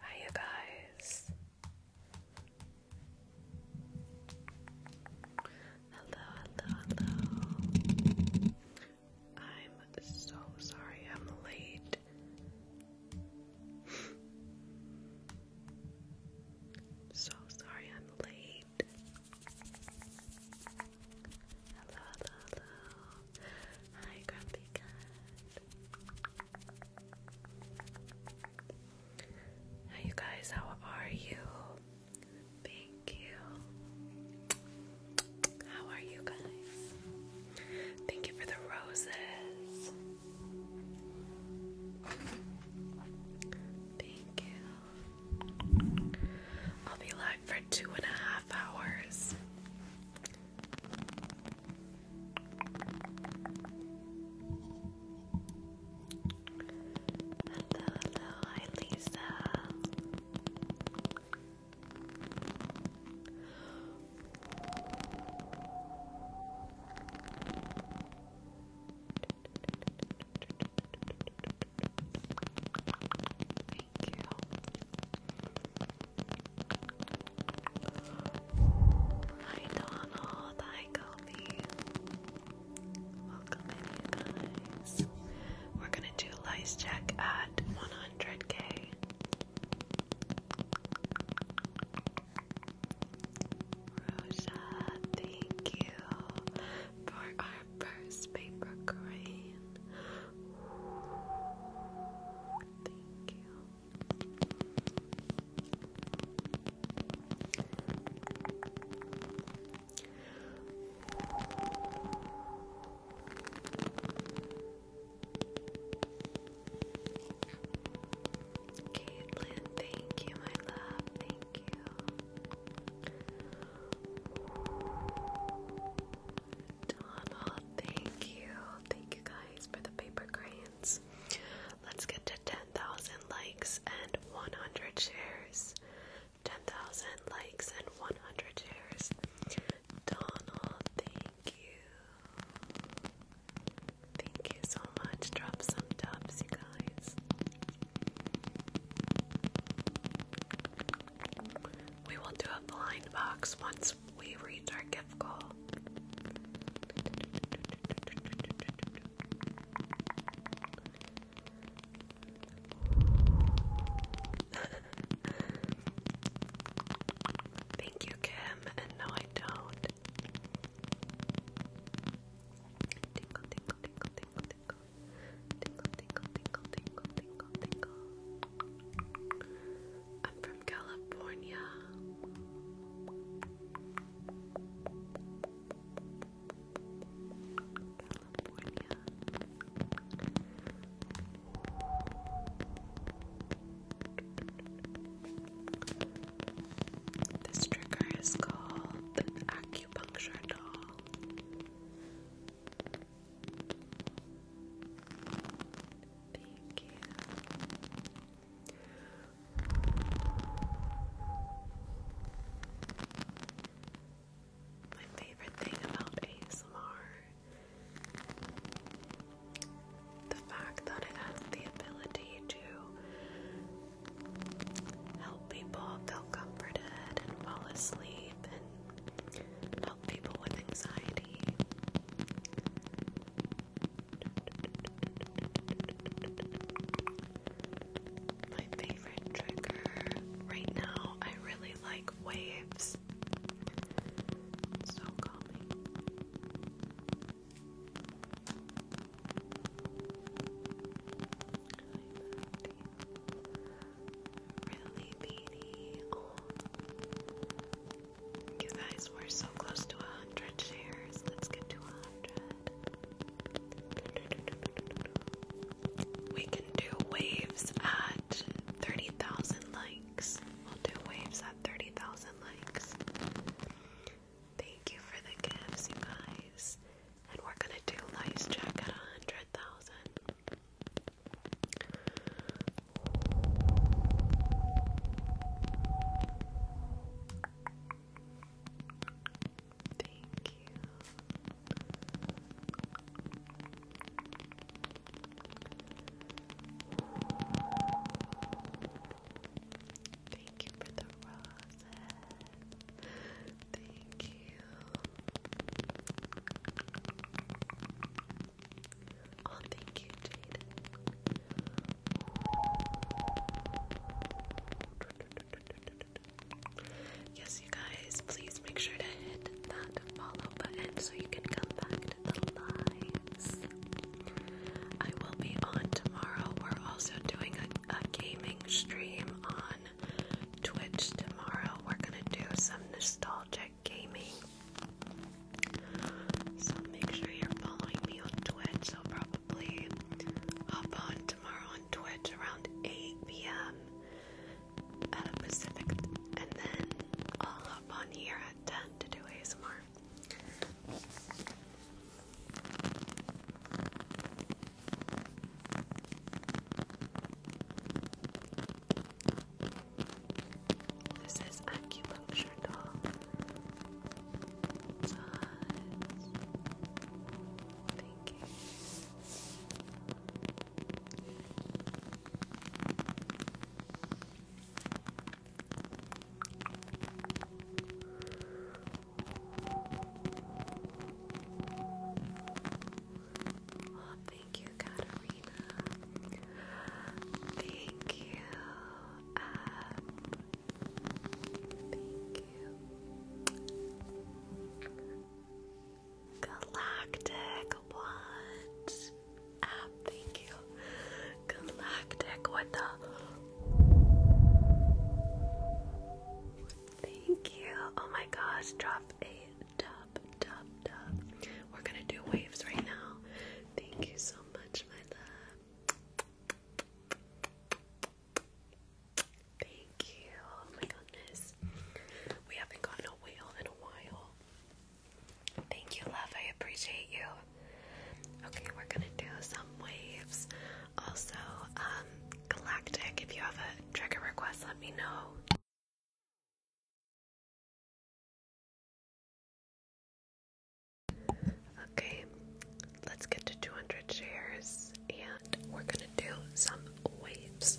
Hi, you guys. Hello, hello, hello. I'm so sorry I'm late. so sorry I'm late. Hello, hello, Hi, Grumpy Cat. Hi, you guys, how are you? Thank you. How are you guys? Thank you for the roses. Thank you. I'll be live for two and a half hours. Hello, hello, Thank you. Hi Donald, hi Kobe. Welcome you guys. We're gonna do lice check at 100k. Rosa, thank you for our first paper crane. Thank you. Caitlin, thank you, my love. Thank you. Donald, thank you. Thank you guys for the paper crane. Let's get to 10,000 likes and 100 shares. 10,000 likes and 100 shares. Donald, thank you. Thank you so much. Drop some dubs, you guys. We will do a blind box once we reach our gift goal. Thank you, Kim. And no, I don't. Tinkle, tinkle, tinkle, tinkle, tinkle. Tinkle, tinkle, tinkle, tinkle, tinkle, tinkle. I'm from California. This trigger is called the acupuncture doll. Thank you. My favorite thing about ASMR the fact that it has the ability to help people feel comforted and fall asleep and help people with anxiety. My favorite trigger right now, I really like waves. so calming. Really beady. You guys, we're so close to a hundred shares. Let's get to a hundred. We can do waves at 30,000 likes. We'll do waves at 30,000 likes. Thank you for the gifts, you guys. And we're gonna do lice check at 100,000. Thank you. Thank you for the roses. Thank you. Oh, thank you, Jade. Yes, you guys, please make sure to hit that follow button so you can come back to the I will be on tomorrow. We're also doing a, gaming stream on Twitch tomorrow. We're gonna do some nostalgic gaming. So make sure you're following me on Twitch. I'll probably probably hop on tomorrow on Twitch around 8 p.m. Pacific, and then I'll on here at 10 to do ASMR. This is acupuncture doll. Thank you. thank you, Katarina. Thank you, um, Thank you. Galactic, what? thank you. Galactic, what the? Thank you. Oh my gosh, drop a dub, dub, dub. We're gonna do waves right now. Thank you so much, my love. Thank you. Oh my goodness. We haven't gotten a whale in a while. Thank you, love. I appreciate you. Okay, we're gonna do some waves. Also, um, Galactic, if you have a trigger request, let me know. Okay, let's get to 200 shares and we're gonna do some waves.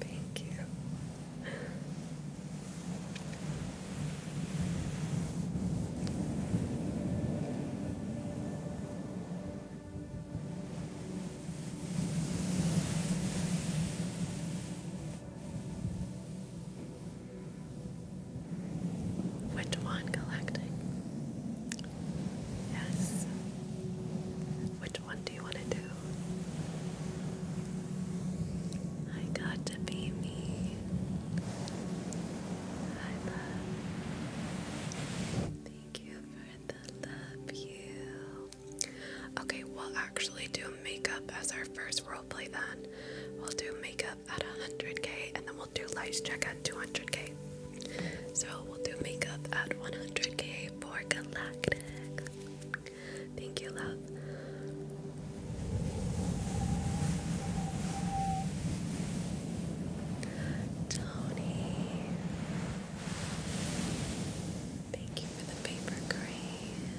Thank you. Which one collecting? Yes. Which one do you want to do? I got to be me. I love. Thank you for the love you. Okay, we'll actually do makeup as our first roleplay then. We'll do makeup at 100k and then we'll do lights check at 200k. So we'll do makeup at 100k for galactic. Thank you, love. Tony. Thank you for the paper crane.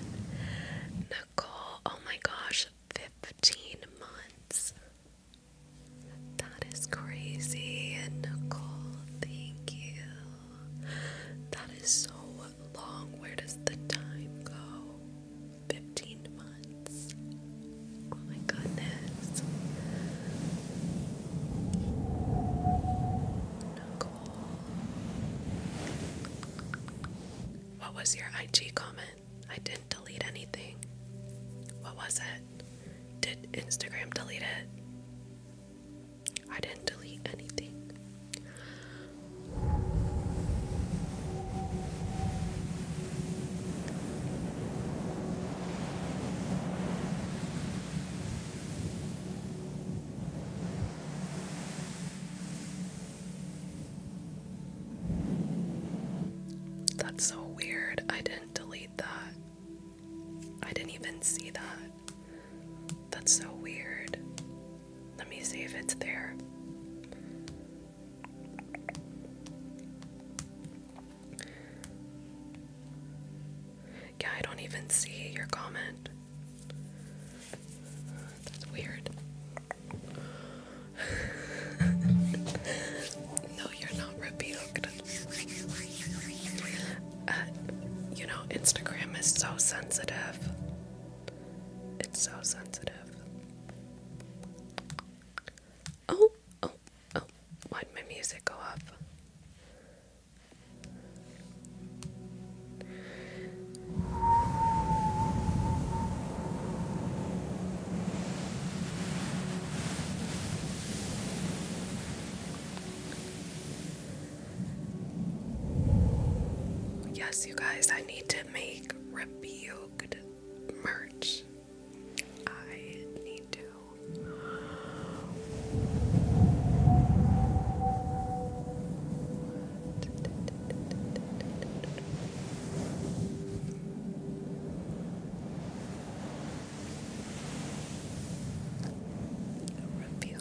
Nicole, oh my gosh, 15 months. That is crazy. Nicole, thank you. That is so long. Where does the time go? 15 months. Oh my goodness. Nicole. What was your IG comment? I didn't delete anything. What was it? Did Instagram delete it? I didn't delete anything. That's so weird. I didn't delete that. I didn't even see that. That's so weird. Let me see if it's there. Yeah, I don't even see your comment. That's weird. no, you're not repeated. Uh, you know, Instagram is so sensitive. It's so sensitive. Oh, oh, oh, why'd my music go up? Yes, you guys, I need to make rebuked merch. I need to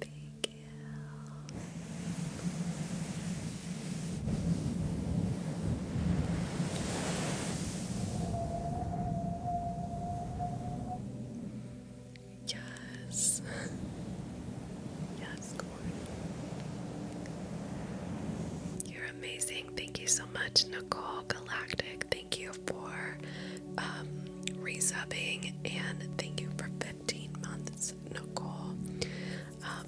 Thank you. Yes. yes, Corey. You're amazing. Thank you so much, Nicole Galactic thank you for um, resubbing, and thank you for 15 months, Nicole. Um,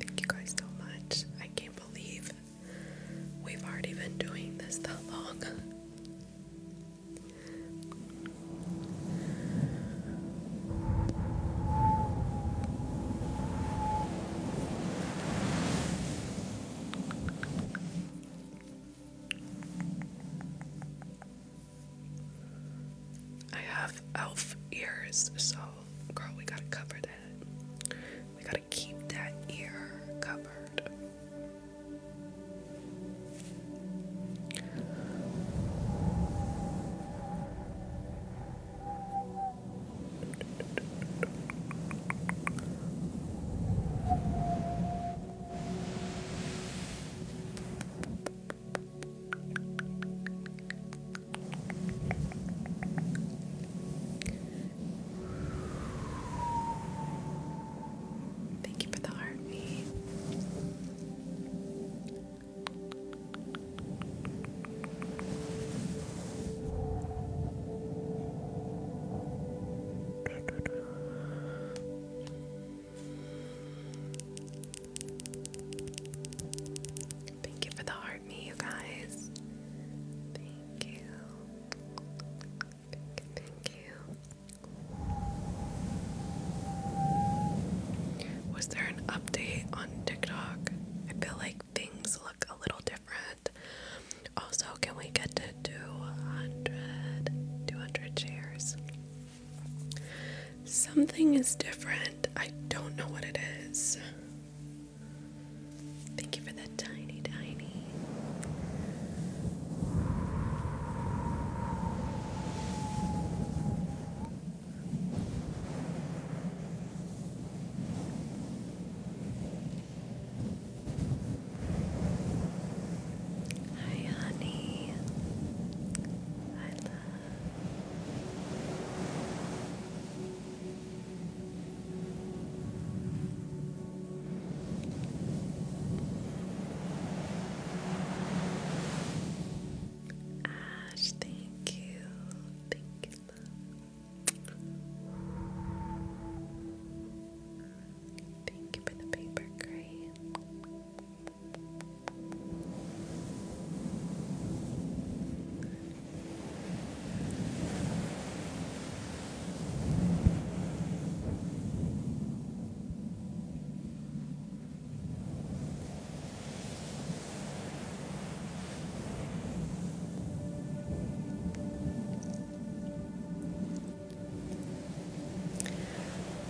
thank you guys so much. I can't believe we've already been doing this that long. I have elf ears, so girl, we gotta cover that. We gotta keep that ear covered. Thank you for the heartbeat. Thank you for the heart me, you guys. Thank you. Thank you. Was there an update on TikTok? I feel like things look a little different. Also, can we get to 200, 200 shares? Something is different. I don't know what it is. Thank you for the tiny, tiny. Hi, honey. I love. Ash, thank you. Thank you, Thank you for the paper crane.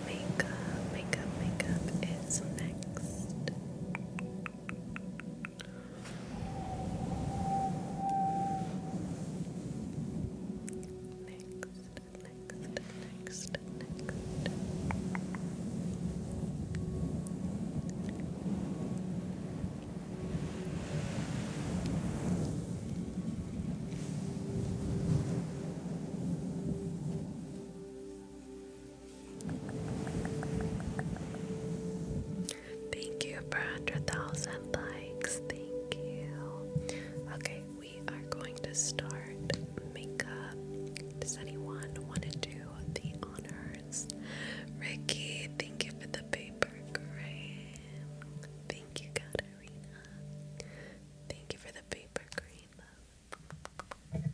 Makeup, makeup, makeup is next. Next, next, next, next. Thank you for 100,000 likes. Thank you. Okay, we are going to start makeup. Does anyone want to do the honors? Ricky, thank you for the paper crane. Thank you, God. Thank you for the paper green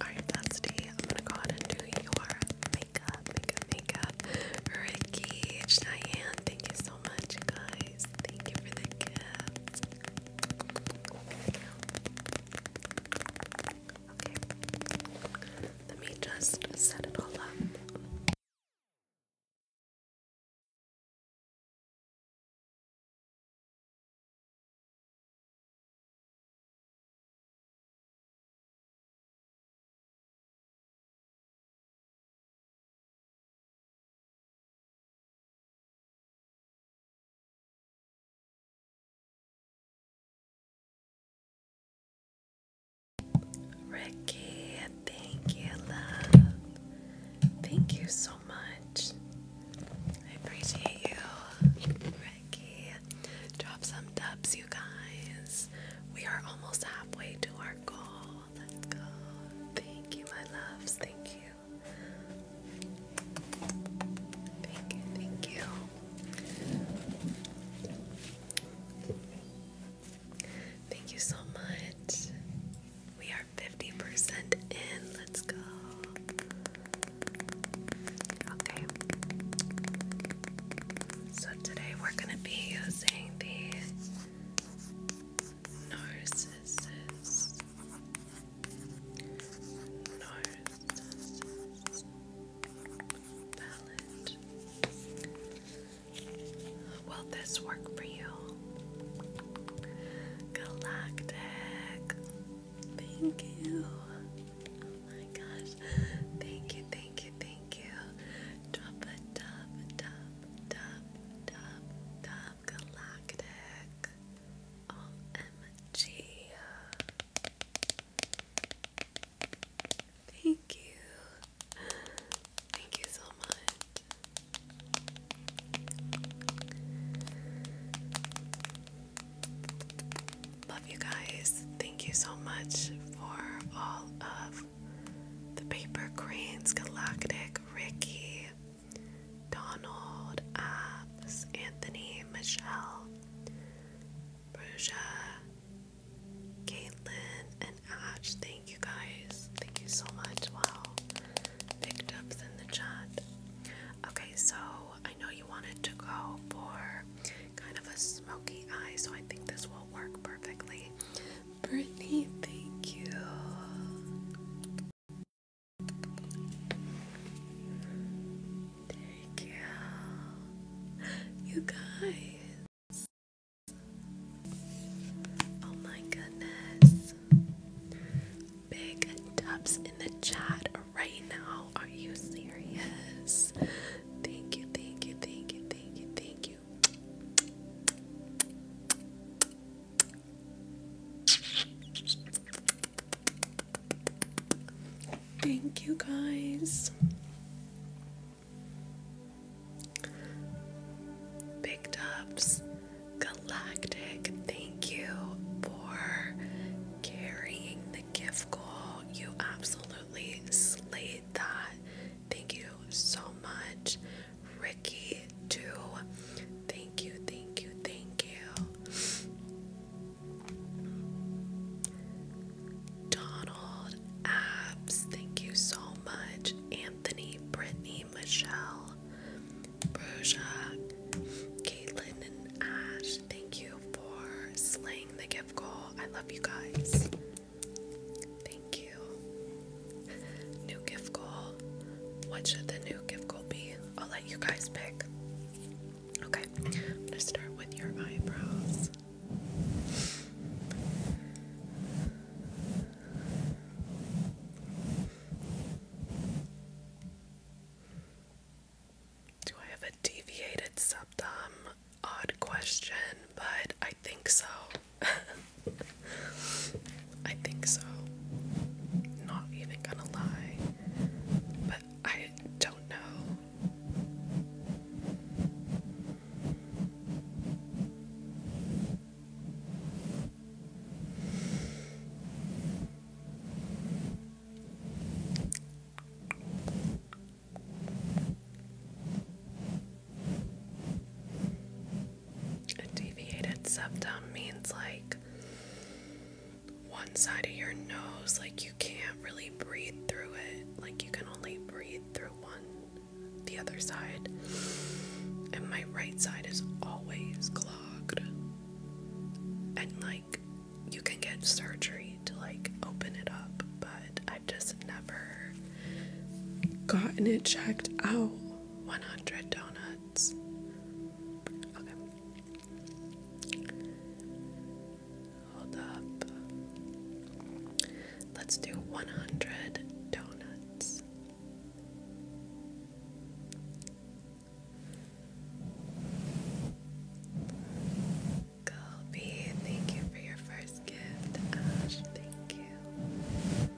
Alright, Dusty, I'm gonna go ahead and do your makeup, makeup, makeup. Ricky, Cheyenne, thank you so much, guys. Thank you for the gift. Okay, let me just set it all up. Ricky, thank you, love. Thank you so much. I appreciate you, Ricky. Drop some dubs, you guys. We are almost halfway to our goal. Let's go. Thank you, my loves. Thank you. Thank you, thank you. Thank you so much. We are 50% in. Let's go. Okay. So today we're going to be using the Narcissus. palette. Will this work for you? Galactic Thank you. Oh my gosh. Thank you, thank you, thank you. Drop a dub, dub, dub, dub, dub, galactic. OMG. Thank you. Thank you so much. Love you guys. Thank you so much for all of the paper cranes, Galactic, Ricky, Donald, Anthony, Michelle, Bruja, Caitlin, and Ash. Thank you guys. Thank you so much. Wow. Picked up in the chat. Okay, so I know you wanted to go for kind of a smoky eye, so I think this will work perfectly. Brittany, thank you. Thank you. You guys. Oh my goodness big dubs in the chat right now. Are you serious? Thank you, thank you, thank you, thank you, thank you. Thank you guys. Big Dubs, Galactic, thank you for carrying the gift goal. You absolutely slayed that. Thank you so much, Ricky, too. Thank you, thank you, thank you. Donald Abs, thank you so much. Anthony, Brittany, Michelle, Broja, Caitlin, and Ash, thank you you for slaying the gift goal. I love you guys. Thank you. New gift goal. What should the new gift goal be? I'll let you guys pick. Okay, I'm start with your eyebrows. Do I have a deviated septum? Odd question, but I think so. I think so. Not even gonna lie. But I don't know. A deviated septum means like one side of your nose, like you can't really breathe through it, like you can only breathe through one, the other side. And my right side is always clogged. And like you can get surgery to like open it up, but I've just never gotten it checked out. 100 donuts. Hold up. Let's do 100 donuts. Colby, thank you for your first gift. Ash, thank you.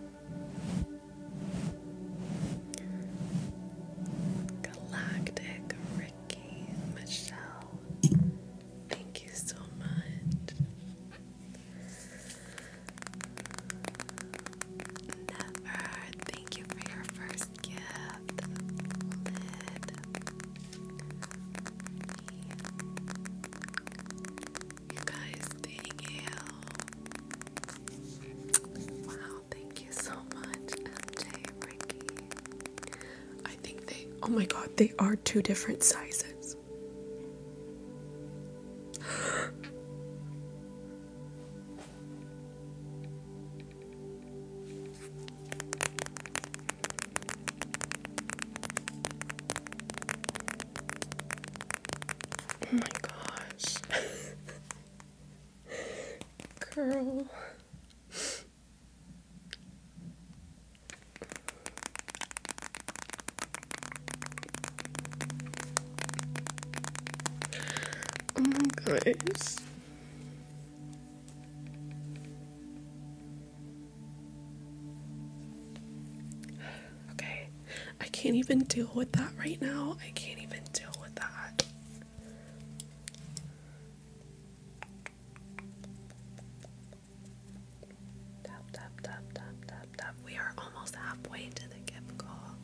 Galactic Ricky, Michelle, thank you so much. Never, thank you for your first gift You guys, thank you. Wow, thank you so much, MJ, Ricky. I think they, oh my god, they are two different sizes. Oh my gosh. Girl. Oh my gosh. Okay, I can't even deal with that right now. I can't even deal with that. Tap, tap, tap, tap, tap, tap. We are almost halfway to the gift call.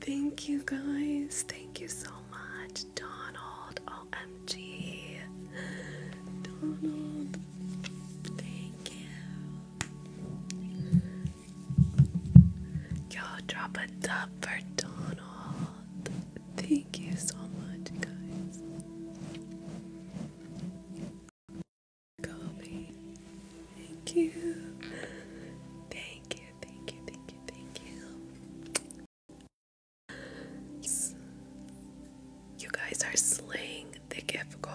Thank you guys. Thank you so much, Donald. OMG. Donald. Thank you. Yo, drop a dub for Donald. Thank you so much, guys. Thank you. Thank you, thank you, thank you, thank you. You guys are slaying the gift goal.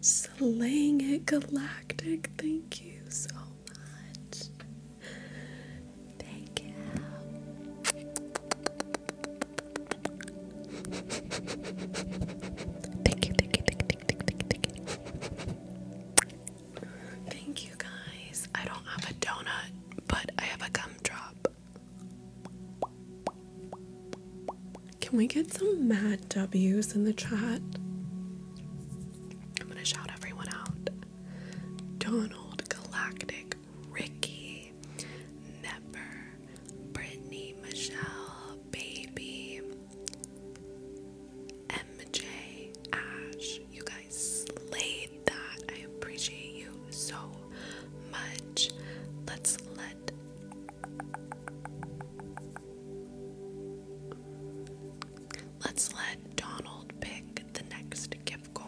Slaying it galactic. Thank you so much. thank you, thank you, thank you, thank you, thank you. Thank you guys. I don't have a donut, but I have a gumdrop. Can we get some Matt W's in the chat? I'm gonna shout everyone out. Donald, Galactic, Ricky, Nepper, Brittany, Michelle, Baby, MJ Ash, you guys slayed that. I appreciate you so much. Let's let Let's let Donald pick the next gift goal.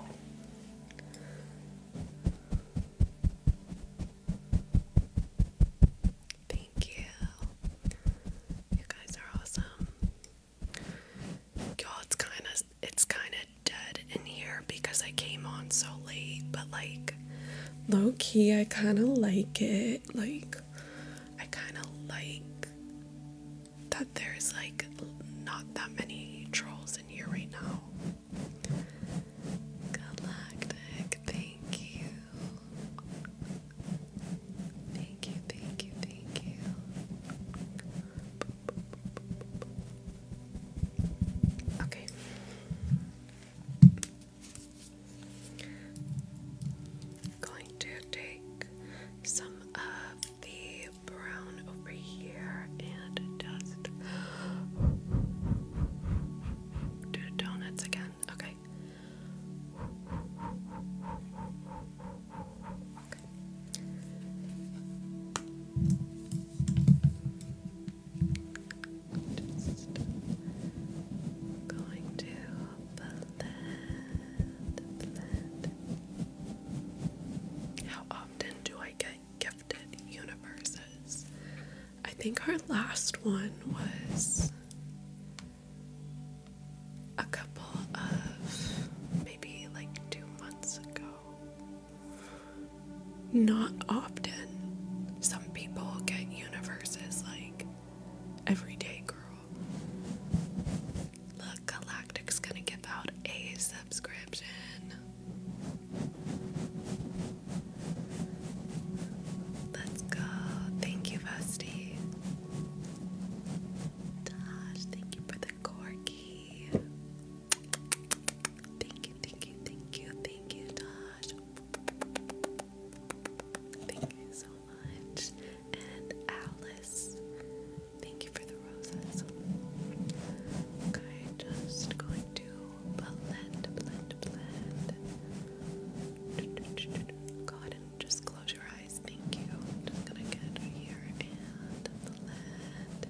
Thank you. You guys are awesome. you it's kind of it's kind of dead in here because I came on so late, but like low key, I kind of like it. Like I kind of like that there's like not that many trolls in here right now. Galactic, thank you. Thank you, thank you, thank you. Okay. Going to take some of the brown over here and dust the donuts again. Okay. Just going to blend. How often do I get gifted universes? I think our last one was a couple of maybe like two months ago. Not often. Some people get universes like everyday girl. Look, Galactic's gonna give out a subscription. Let's go. Thank you, Vesti. Dash, thank you for the corky. Thank you, thank you, thank you, thank you, Dash. Thank you so much. And Alice, thank you for the roses. Okay, just going to blend, blend, blend. Go ahead and just close your eyes guys, thank you. just gonna get here and blend.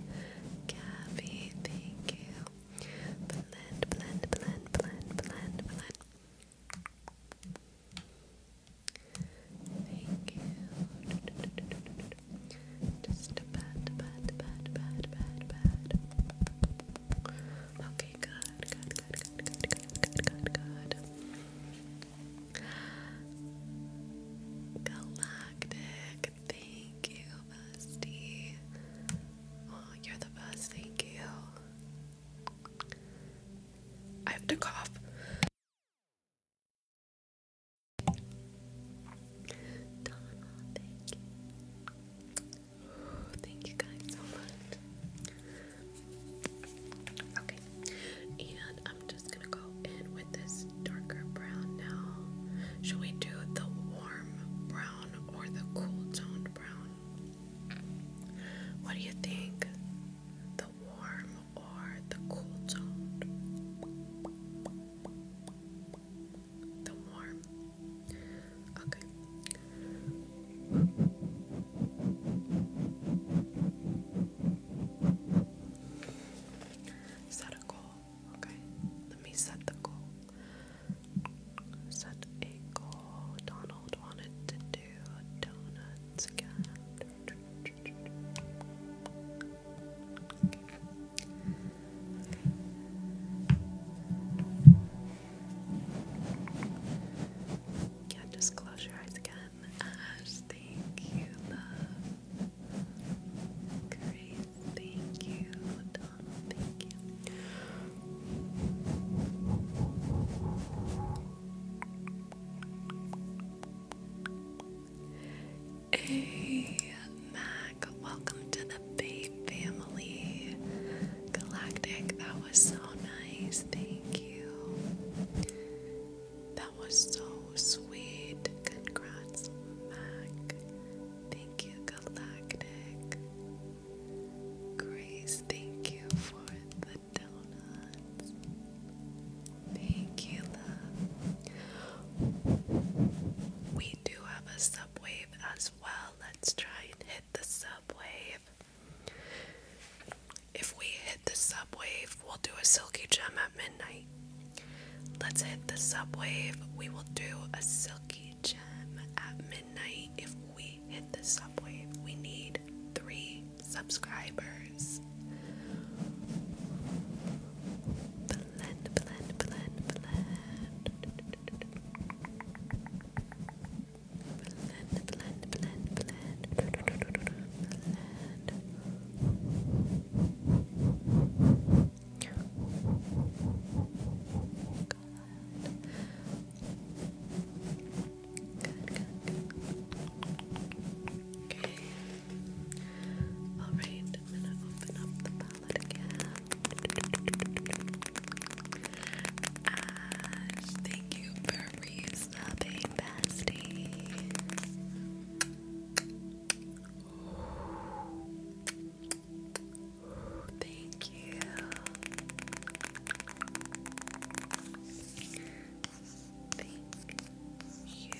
Gabby, thank you. Blend, blend, blend, blend, blend, blend. Thank you. Just a pat, pat, pat, pat, pat, pat. Okay, good, good, good, good, good, good, good, good. Galactic, thank you, bestie. you're the best, thank you. I have to cough. Donna, thank you. thank you guys so much. Okay, and I'm just gonna go in with this darker brown now. Should we do the warm brown or the cool toned brown? What do you think? The warm or the cool toned? The warm. Okay. Set a goal, okay? Let me set the goal. Set a goal. Donald wanted to do donuts again. Okay. Okay. just close your eyes again. Ash, thank you, love. Grace, thank you. Donald, thank you. Hey, Mac, welcome to the Bay family. Galactic, that was so nice. Thank you. That was so sweet. Congrats, Mac. Thank you, Galactic. Grace, thank you for the donuts. Thank you, love. We do have a subwave as well. Let's try and hit the subwave. If we hit the subwave, we'll do a silky gem at midnight. Let's hit the subwave. We will do a silky gem at midnight. If we hit the subwave, we need three subscribers. Blend, blend, blend, blend. Blend, blend, blend, blend. Alright, I'm gonna open up the palette again. Ash, thank you reuse the paint pasty. Thank you. Thank you.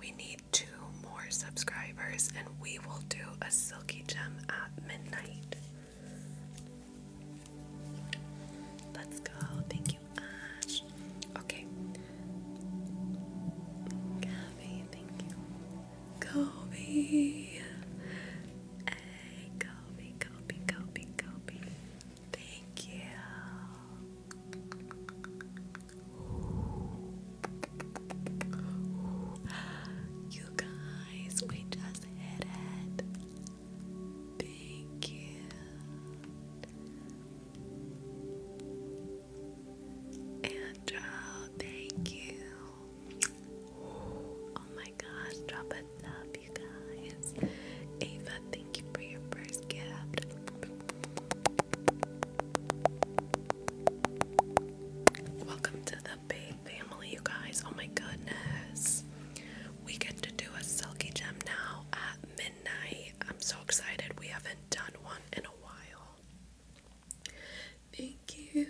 We need two more subscribers and we will do a silky gem at midnight. Let's go. Thank you, Ash. Okay. Gabby, thank you. Kobe. Hey, Kobe, Kobe, Kobe, Kobe. Thank you. You guys, we just hit it. Thank you. Andrew, oh, thank you. Oh my gosh, drop a love, you guys. Ava, thank you for your first gift. Welcome to the Bay family, you guys. Oh my goodness we get to do a silky gem now at midnight. I'm so excited. We haven't done one in a while. Thank you.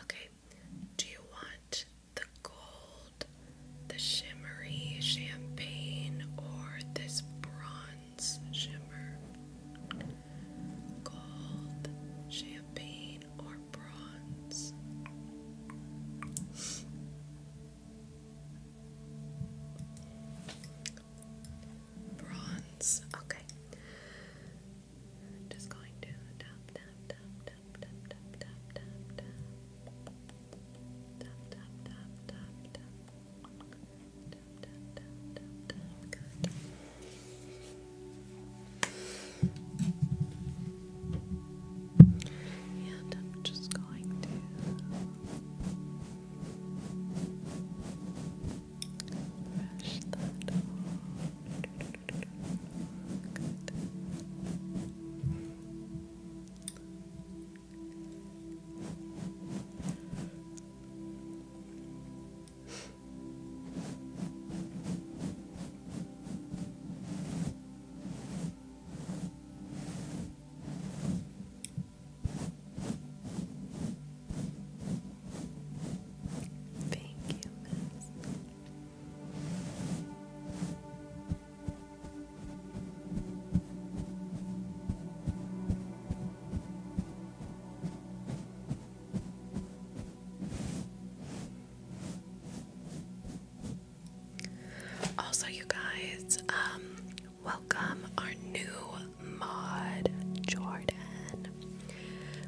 Okay, do you want the gold, the shimmery champagne, or this bronze shimmer? Gold, champagne, or or bronze. Bronze. Okay. Just going to and I'm just going to brush that Thank you, miss. Also, you guys, um, welcome our new mod, Jordan.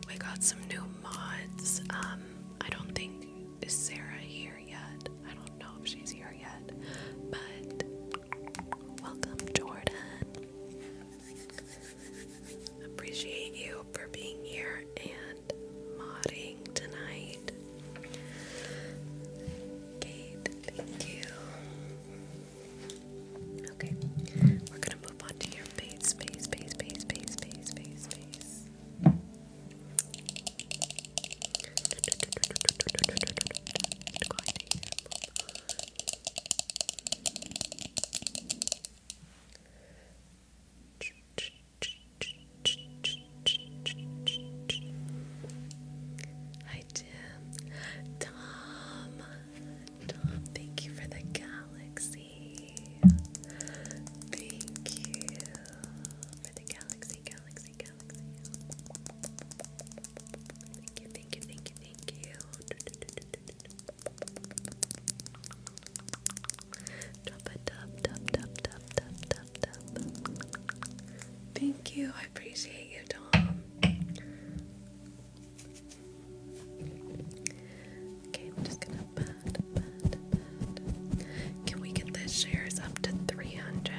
We got some new mods. Um, I don't think is Sarah here yet. I don't know if she's here yet, but welcome, Jordan. Appreciate you for being here and modding tonight. Okay, we're gonna move on to your face, face, face, face, face, face, face, face. Hi, Jim. Tom, thank you for the galaxy. Thank you for the galaxy, galaxy, galaxy. Thank you, thank you, thank you, thank you. Thank you. I appreciate you, Tom. Okay, I'm just gonna Can we get the shares up to 300?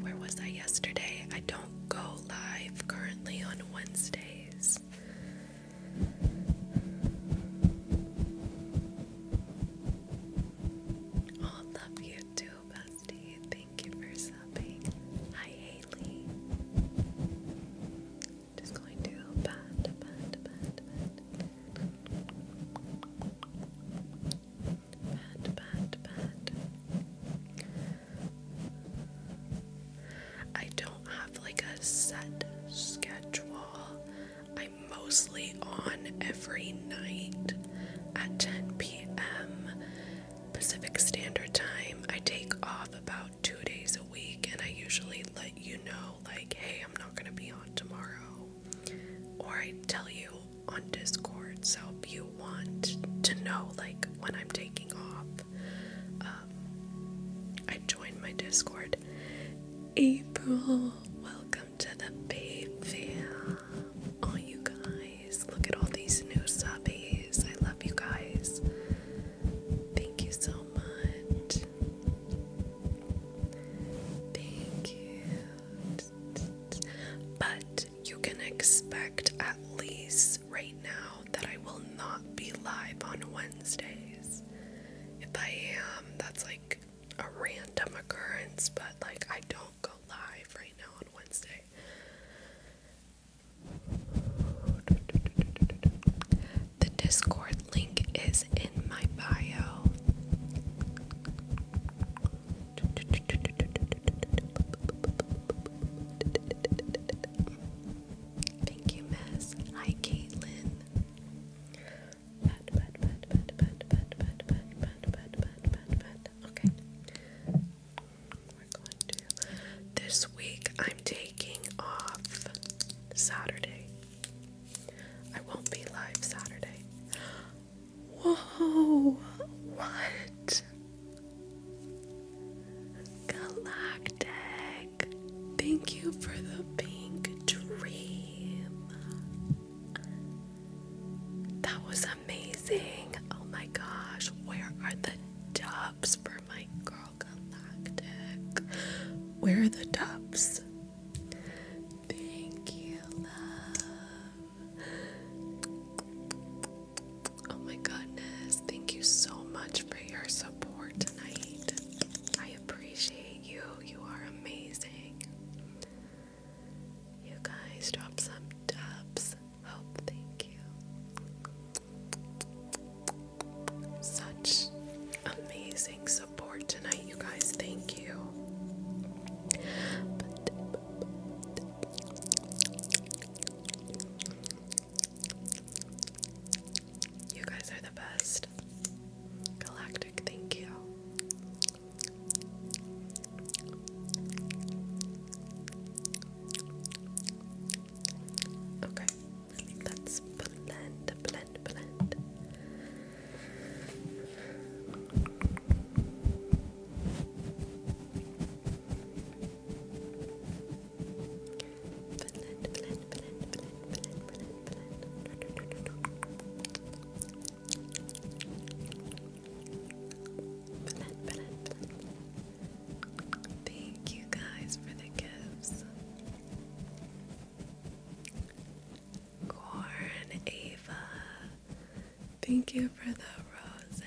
Where was I yesterday? I don't go live currently on Wednesdays. Oh, love you too, bestie. Thank you for subbing. Hi, Haley. Just going to pat, pat, pat, pat. Pat, pat, pat. I don't have like a set schedule mostly on every night at 10 p.m. Pacific Standard Time. I take off about two days a week and I usually let you know, like, hey, I'm not going to be on tomorrow. Or I tell you on Discord. So if you want to know, like, when I'm taking off, um, I join my Discord April, welcome to the baby. Fair. Oh, you guys, look at all these new subbies. I love you guys. Thank you so much. Thank you. But you can expect at least right now that I will not be live on Wednesdays. If I am, that's like a random occurrence, but like I don't go live right now on Wednesday. The Discord link is in my bio. Thank you, Miss. Hi, Caitlin pat, pat, pat, pat, pat, pat, pat, pat, pat, pat, pat, pat, Okay. We're going to. This week I'm taking off Saturday. I won't be live Saturday. Whoa! What? Galactic! Thank you for the pink dream. That was amazing. Oh my gosh, where are the dubs for my girl galactic? Where are the dubs? Thank you, Oh my goodness, thank you so much for your support tonight. I appreciate you. You are amazing. You guys drop some dubs. Hope, oh, thank you. Such amazing support tonight, you guys. Thank you. You guys are the best. Galactic Thank you. Okay, let's blend, blend, blend. Blend, blend, blend, blend. Thank you guys for the gifts. Corn, Ava. Thank you for the roses.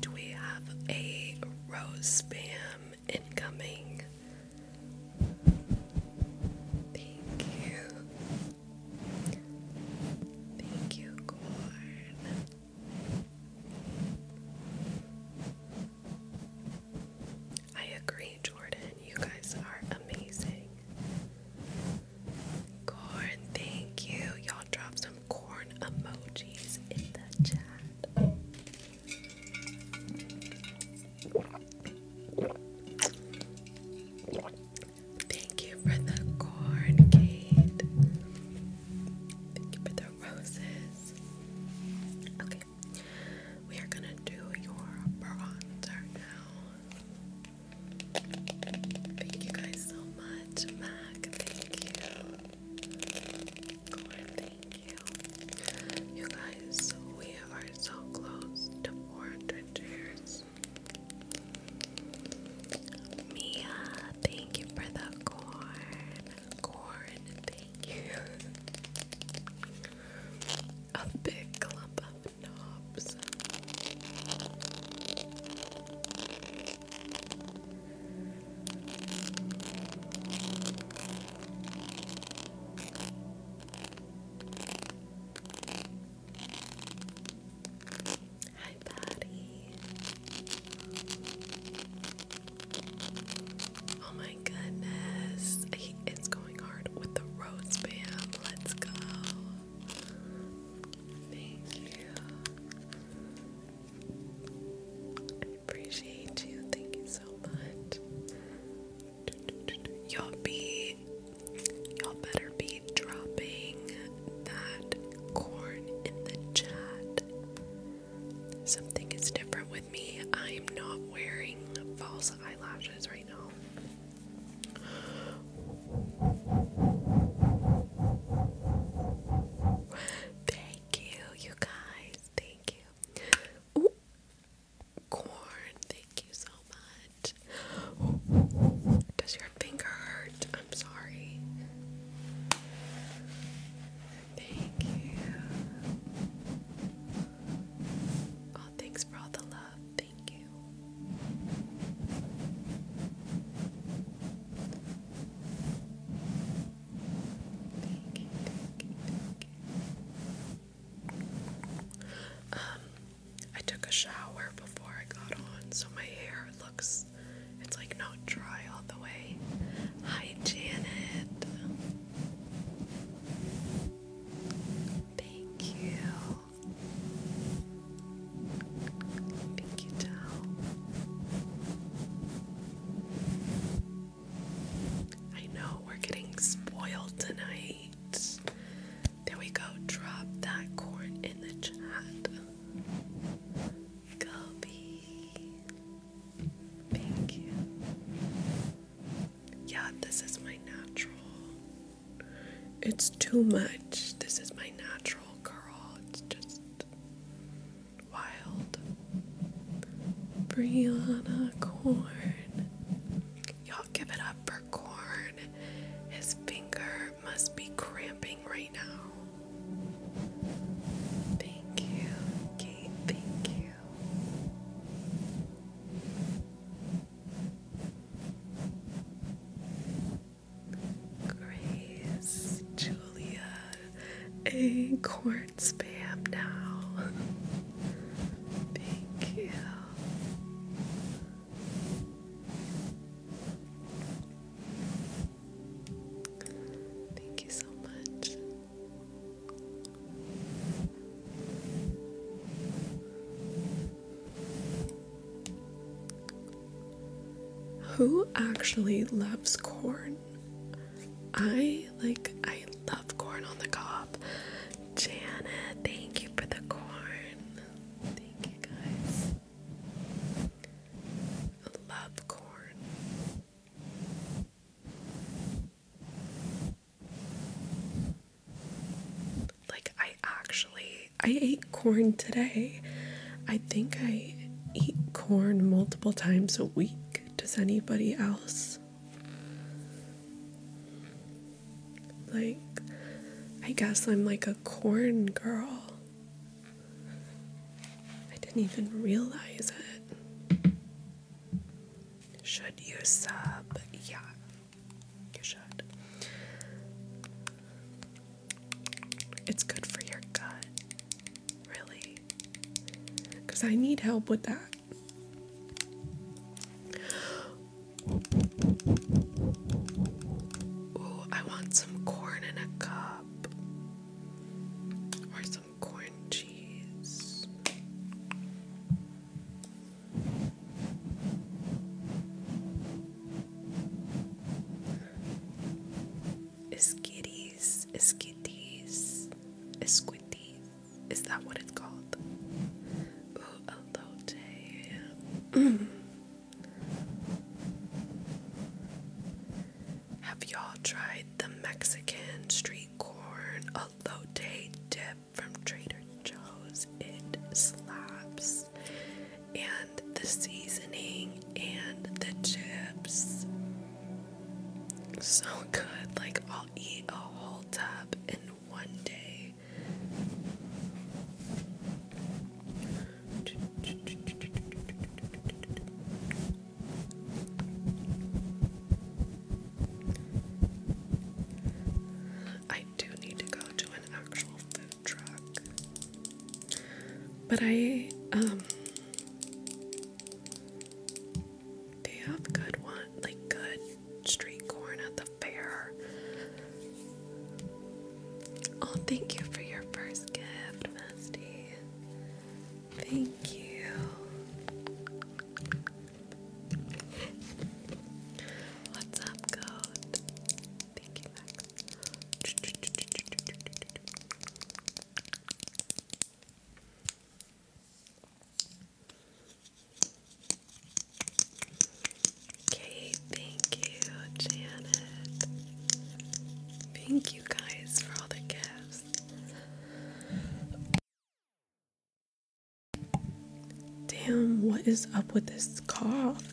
Do we have a rose spam incoming? Thank you. Thank you, Corn. I agree, Jordan. You guys are amazing. Corn, thank you. Y'all y'all drop some corn emojis in the chat. Thank you for the corn, Kate. Thank you for the roses. Okay, we are gonna do your bronzer now. Thank you guys so much, Mac. Thank you. Glenn, thank you. You guys, we are so close to 400 shares. Mia, thank you for the corn. Corn, thank you. A big clump of knobs. Hi, Patty. Oh my goodness. it's going hard with the rose Let's go. Thank you. I appreciate you. Thank you so much. Y'all be, y'all better be dropping that corn in the chat. Something is different with me. I'm not wearing false eyelashes right now. Thank you, you guys. Thank you. Corn, thank you so much. Does your finger hurt? I'm sorry. Thank you. Oh, thanks for all the love. Thank you. Thank you, um, I took a shower before I got on, so my hair looks it's like not dry all the way. Hi Janet. Thank you. Thank you, Tal. I know we're getting spoiled tonight. There we go. Drop that corn in the chat. Gubby. Thank you. Yeah, this is my natural. It's too much. This is my natural curl. It's just Wild, Brianna Corn. Y'all give it up for Corn. His finger must be cramping right now. Thank you, Kate. Thank you. Grace, Julia, a quartz spam now. Thank you. Thank you so much. Who actually loves corn? I like I love corn on the cob. Janet, thank you for the corn. Thank you guys. Love corn. Like I actually I ate corn today. I think I eat corn multiple times a week does anybody else. Like, I guess I'm like a corn girl. I didn't even realize it. Should you sub? Yeah, you should. It's good for your gut really because I need help with that. Ooh, I want some corn in a cup or some corn cheese. Iskitis, Iskitis, Isquitis. Is that what it's called? Ooh, elote. Have y'all tried the Mexican street corn elote dip from Trader Joe's? It slaps. And the seasoning and the chips so good. Like, I'll eat a whole tub in one day. I do need to go to an actual food truck. But I, um, they have good one, like good street corn at the fair. Oh, thank you for your first gift, Misty. Thank you. What's up, goat? Thank you, Okay, thank you, Janet. Thank you guys for all the gifts. Damn, what is up with this cough?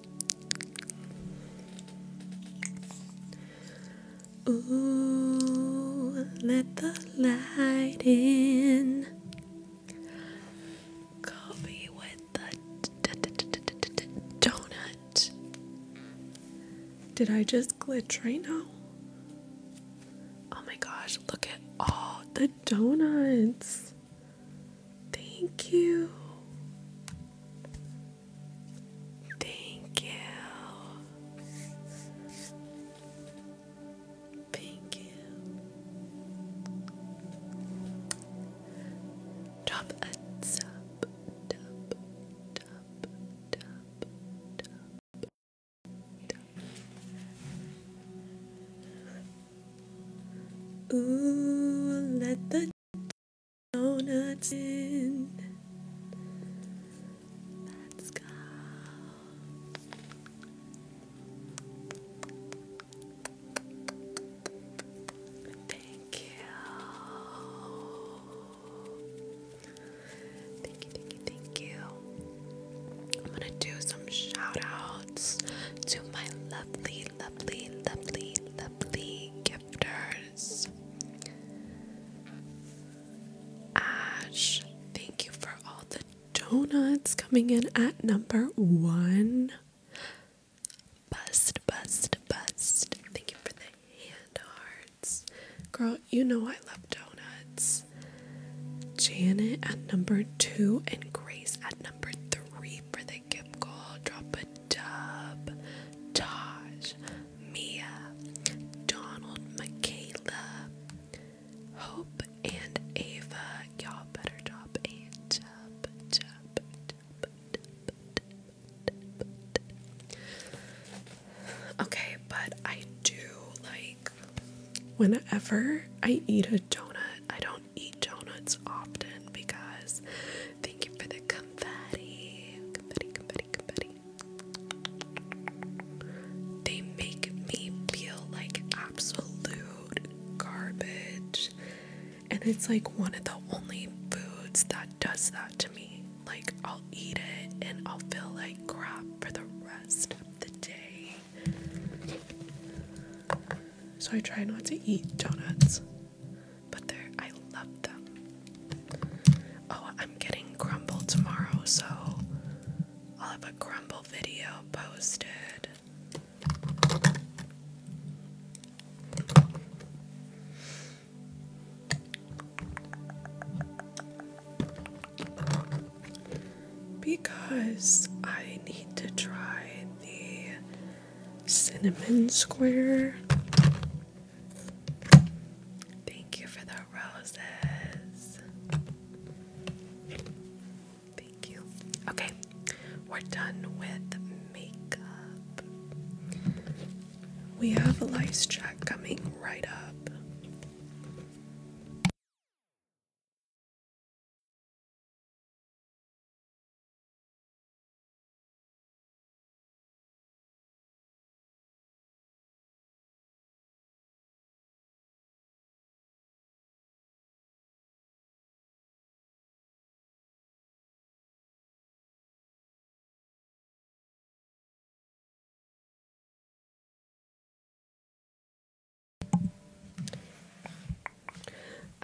Ooh, let the light in. Coffee with the donut. Did I just glitch right now? Oh my gosh, look at all the donuts. Thank you. Thank you. Thank you. Drop a sub, dub, dub, dub, dub, dub. Ooh, let the donuts in. Let's go. Thank you. Thank you, thank you, I'm gonna do some shout to my lovely lovely, lovely, lovely, gifters. Ash, thank you for all the donuts coming in at number one. Bust, bust, bust. Thank you for the hand hearts. Girl, you know I love donuts. Janet at number two and Grace at number three for the Gift Drop a Dub, Taj, Mia, Donald, Michaela, Hope, and Ava. Y'all better drop a dub, dub, dub, dub, dub, dub. Okay, but I do like whenever I eat a donut, I don't eat donuts often because Thank you for the confetti. They make me feel like absolute garbage. And it's like one of the only foods that does that to me. Like, I'll eat it and I'll feel like crap for the rest of the day. So I try not to eat donuts but they're I love them. Oh, I'm getting crumble tomorrow, so I'll have a crumble video posted. Because I need to try the cinnamon square. Thank you for the roses. Thank you. Okay, we're done with makeup. We have a lice check coming right up.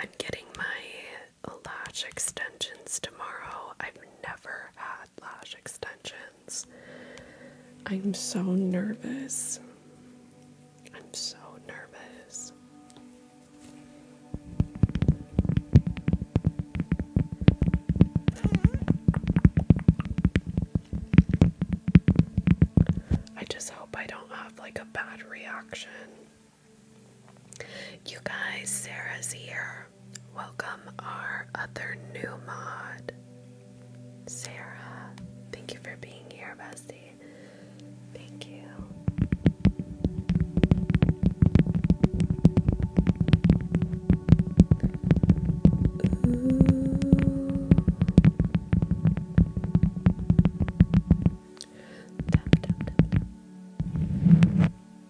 I'm getting my lash extensions tomorrow. I've never had lash extensions. I'm so nervous. I'm so nervous. I just hope I don't have like a bad reaction. You guys, Sarah's here. Welcome our other new mod. Sarah, thank you for being here, bestie. Thank you.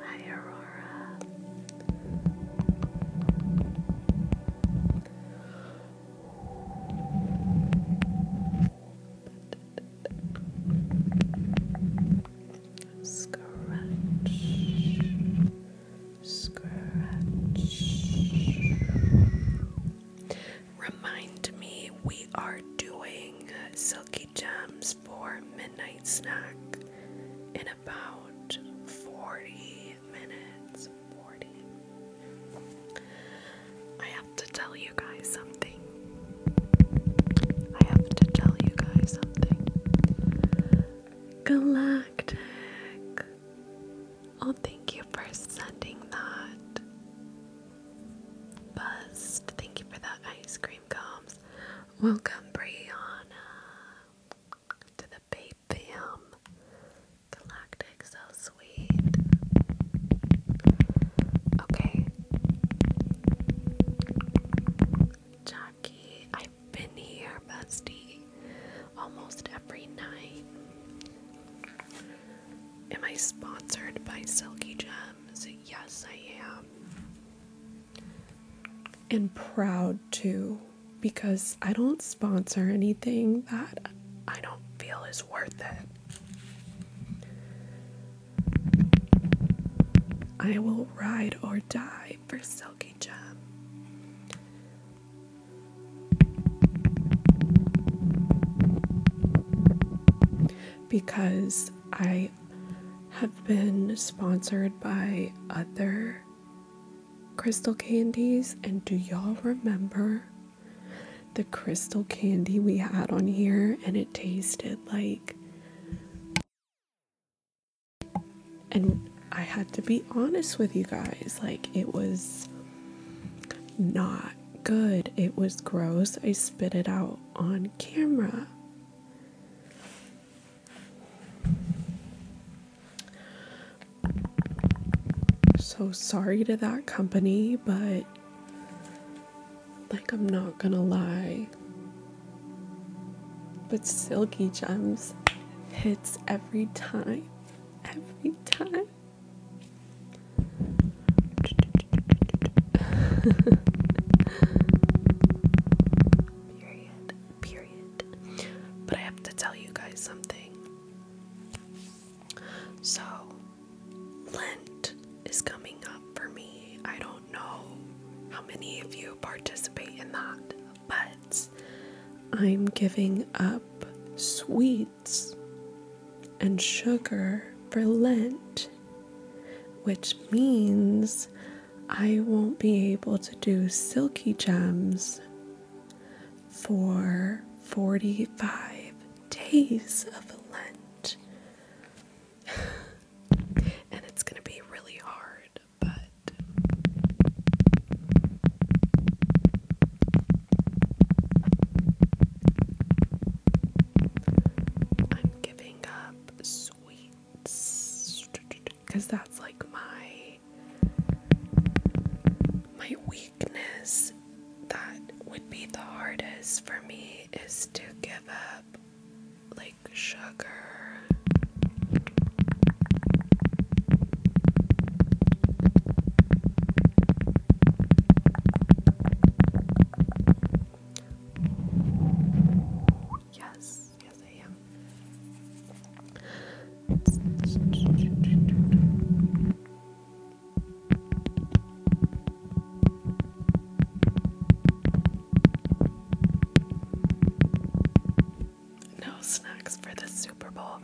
Hi, Aurora. Scratch, scratch. Remind me we are doing Silky Gems for Midnight Snack in about 40 minutes. I have to tell you guys something. I have to tell you guys something. Galactic Oh, thank you for sending that. Bust, thank you for that ice cream comes. Welcome, Brianna, to the Babe Galactic, so sweet. Okay. Jackie, I've been here, bestie, almost every night. Am I sponsored by Silky Gems? Yes, I am. And proud too, because I don't sponsor anything that I don't feel is worth it. I will ride or die for Silky Gem because I have been sponsored by other crystal candies. And do y'all remember the crystal candy we had on here? And it tasted like. And I had to be honest with you guys, like, it was not good. It was gross. I spit it out on camera. So sorry to that company, but like, I'm not gonna lie. But Silky Gems hits every time. Every time period. Period. But I have to tell you guys something. So, Lent is coming up for me. I don't know how many of you participate in that, but I'm giving up sweets and sugar for Lent, which means I won't be able to do silky gems for 45 days of Lent. and it's going to be really hard, but I'm giving up sweets because that's like my my weakness that would be the hardest for me is to give up like sugar. Yes, yes, I am. No snacks for the Super Bowl.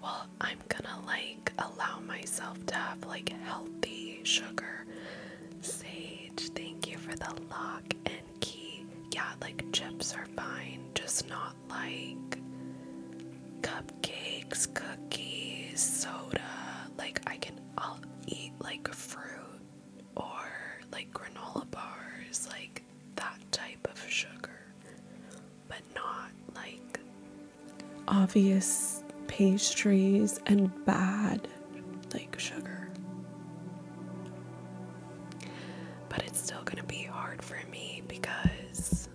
Well, I'm gonna like allow myself to have like healthy sugar. Sage, thank you for the lock and key. Yeah, like chips are fine, just not like cupcakes, cookies, soda. Like I can eat like fruit or like granola bars, like that type of sugar, but not like obvious pastries and bad like sugar. But it's still going to be hard for me because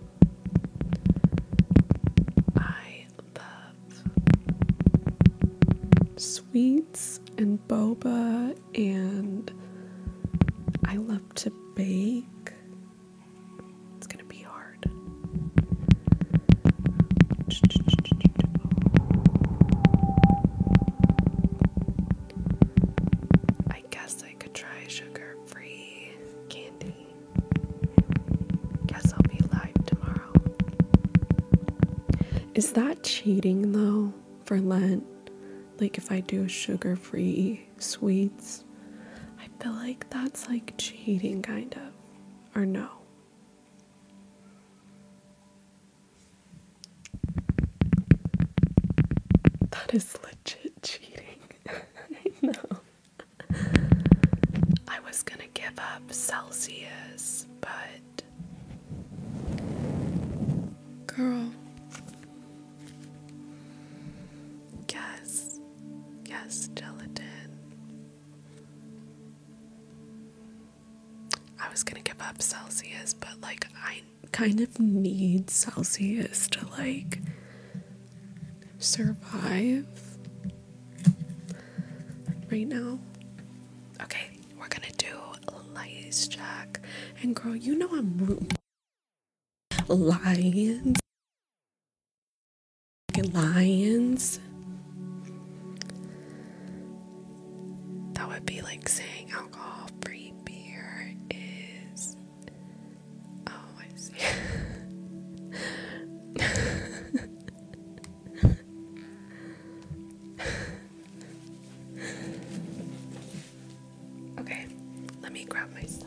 I love sweets and boba, and I love to bake it's gonna be hard. I guess I could try sugar free candy. Guess I'll be live tomorrow. Is that cheating though for Lent? Like, if I do sugar free sweets, I feel like that's like cheating, kind of or no? That is legit cheating. I know. I was gonna give up Celsius, but. Girl. Yes. Yes, gelatin. I was gonna give up Celsius, but like I kind of need Celsius to like survive right now. Okay, we're gonna do lies Jack, And girl, you know I'm rooting lions lions. That would be like saying alcohol free beer is. Oh, I see. okay, let me grab my stuff.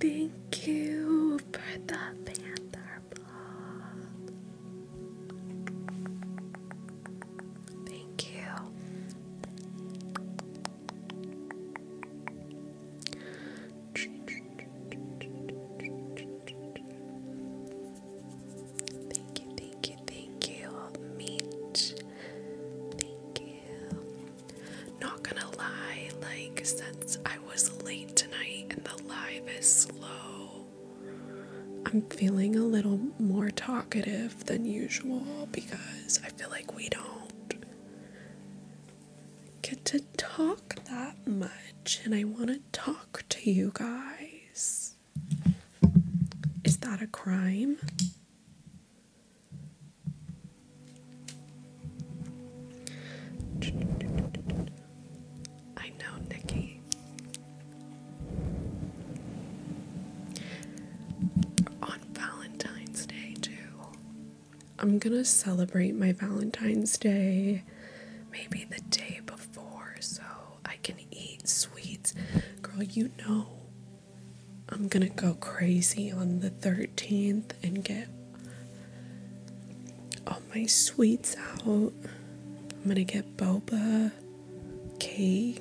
Thank you for the Panther blog. Thank you. Thank you, thank you, Thank you. Not gonna lie, like, since I was late tonight and the live is slow, I'm feeling a little more talkative than usual because I feel like we don't get to talk that much and I want to talk to you guys. Is that a crime? I know, Nikki. On Valentine's Day, too. I'm gonna celebrate my Valentine's Day maybe the day before so I can eat sweets. Girl, you know I'm gonna go crazy on the 13th. 13th and get all my sweets out. I'm gonna get boba, cake.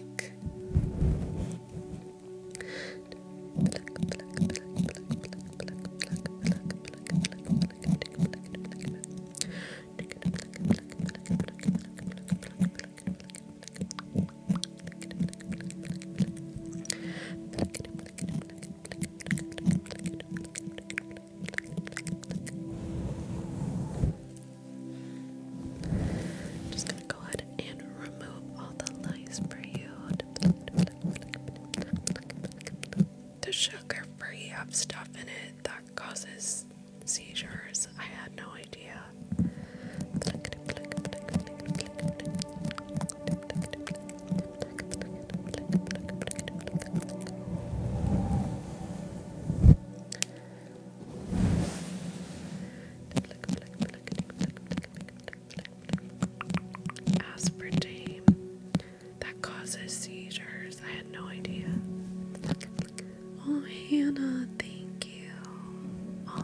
Just gonna go ahead and remove all the lice for you. The sugar free stuff in it that causes seizures. I had no idea. Aspartame that causes seizures. I had no idea. Oh, Hannah, thank you. All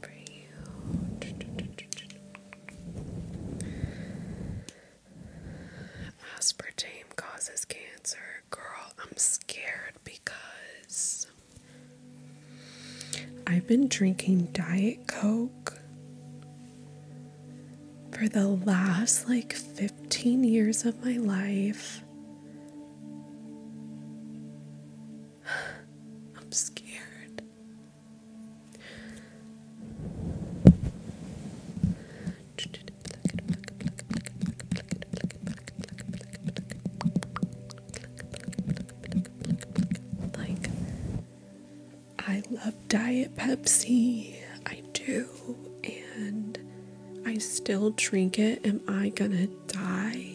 for Aspartame causes cancer. Girl, I'm scared because I've been drinking Diet Coke for the last like 15 years of my life. I'm scared. Like, I love Diet Pepsi, I do, and I still drink it. Am I gonna die?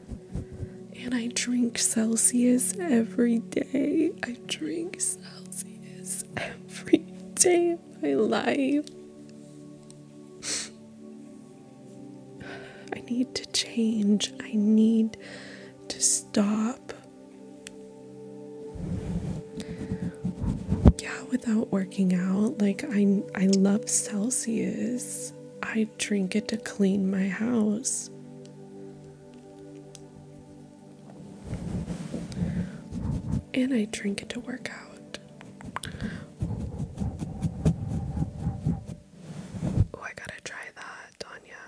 And I drink Celsius every day. I drink Celsius every day of my life. I need to change. I need to stop. Yeah, without working out, like I I love Celsius. I drink it to clean my house. And I drink it to work out. Oh, I gotta try that, Tanya.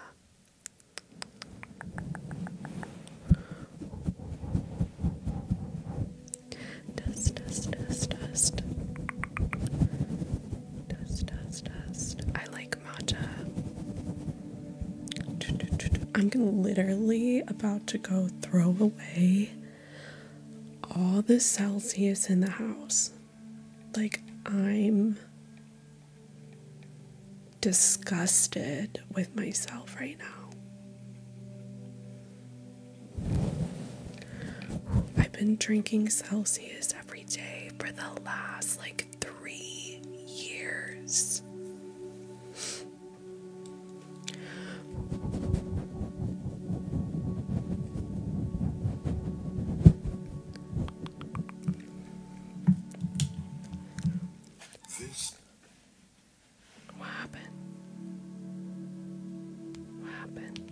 Dust, dust, dust, dust. Dust, dust, dust. I like matcha. I'm literally about to go throw away all the Celsius in the house. Like, I'm disgusted with myself right now. I've been drinking Celsius every day for the last like three years. what happened? What happened?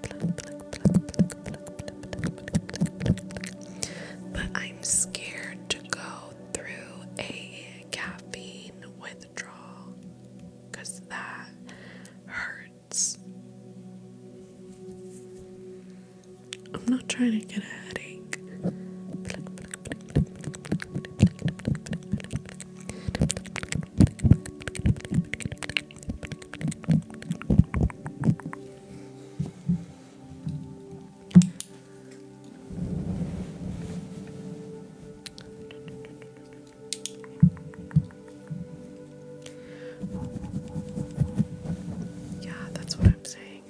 But I'm scared to go through a caffeine withdrawal because that hurts. I'm not trying to get a headache. Yeah, that's what I'm saying.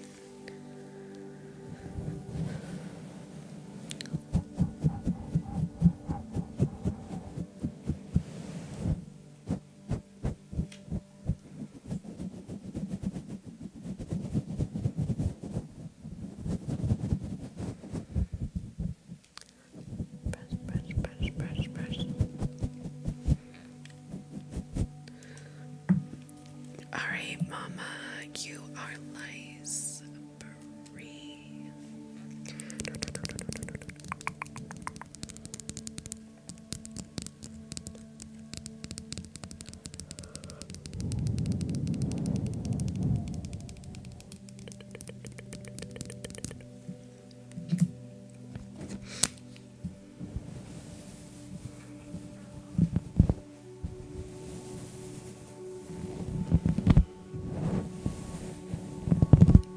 Brush, brush, brush, brush, brush. Alright, Mama, you are lice. Bree.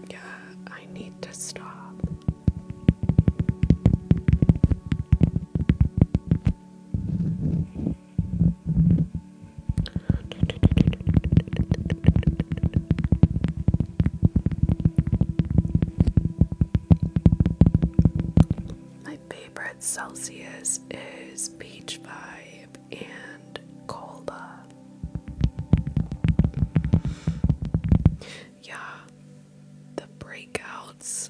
Yeah, I I need to stop. My favorite Celsius is Peach Vibe and Colba. Yeah, the breakouts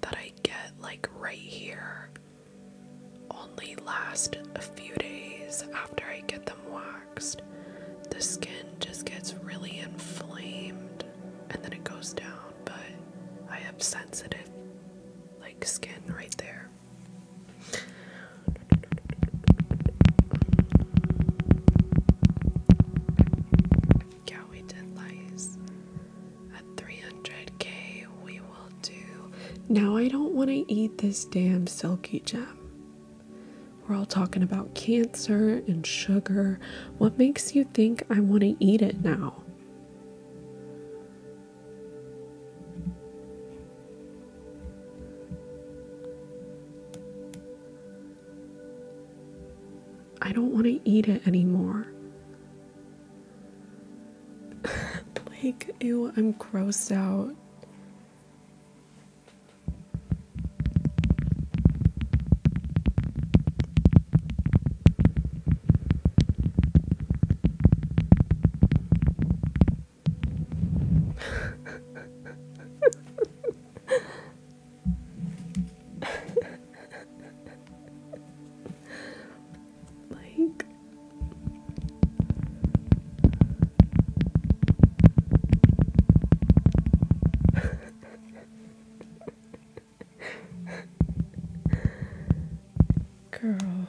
that I get, like right here, only last a few days after I get them waxed. The skin just gets really inflamed and then it goes down, but I have sensitive like skin right there. Yeah, we did lice. At 300k, we will do. Now, I don't want to eat this damn silky gem. We're all talking about cancer and sugar. What makes you think I want to eat it now? I don't want to eat it anymore. Blake, ew, I'm grossed out. like Girl.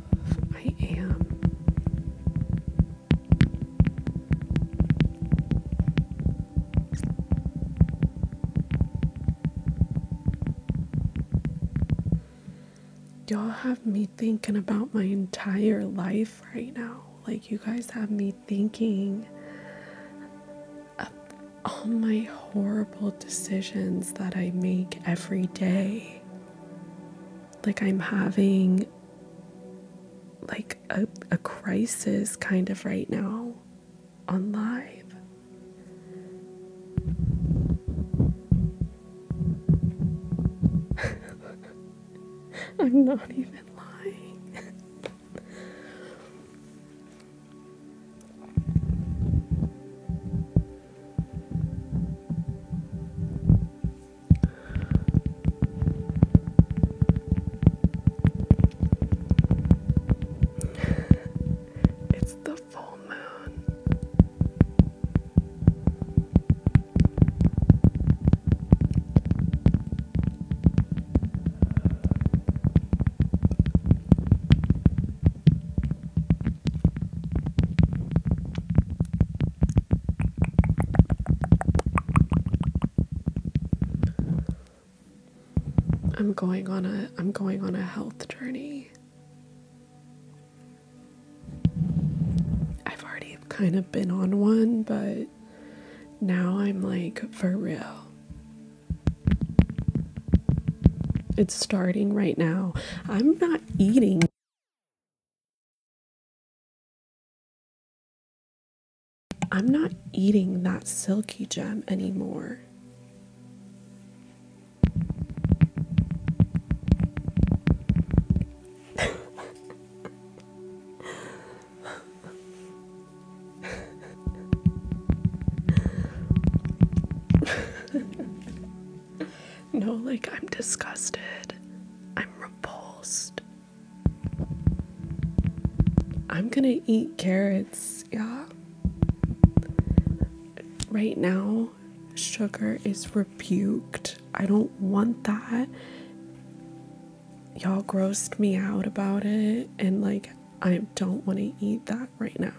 I am. Y'all have me thinking about my entire life right now. Like, you guys have me thinking of all my horrible decisions that I make every day like I'm having like a, crisis kind of right now on live. I'm not even lying. it's the full moon. I'm going on a I'm going on a health journey. I've already kind of been on one, but now I'm like for real. It's starting right now. I'm not eating I'm not eating that silky gem anymore. No, like I'm disgusted. I'm repulsed. I'm gonna eat carrots, yeah. Right now, sugar is rebuked. I don't want that. Y'all grossed me out about it, and like, I don't want to eat that right now.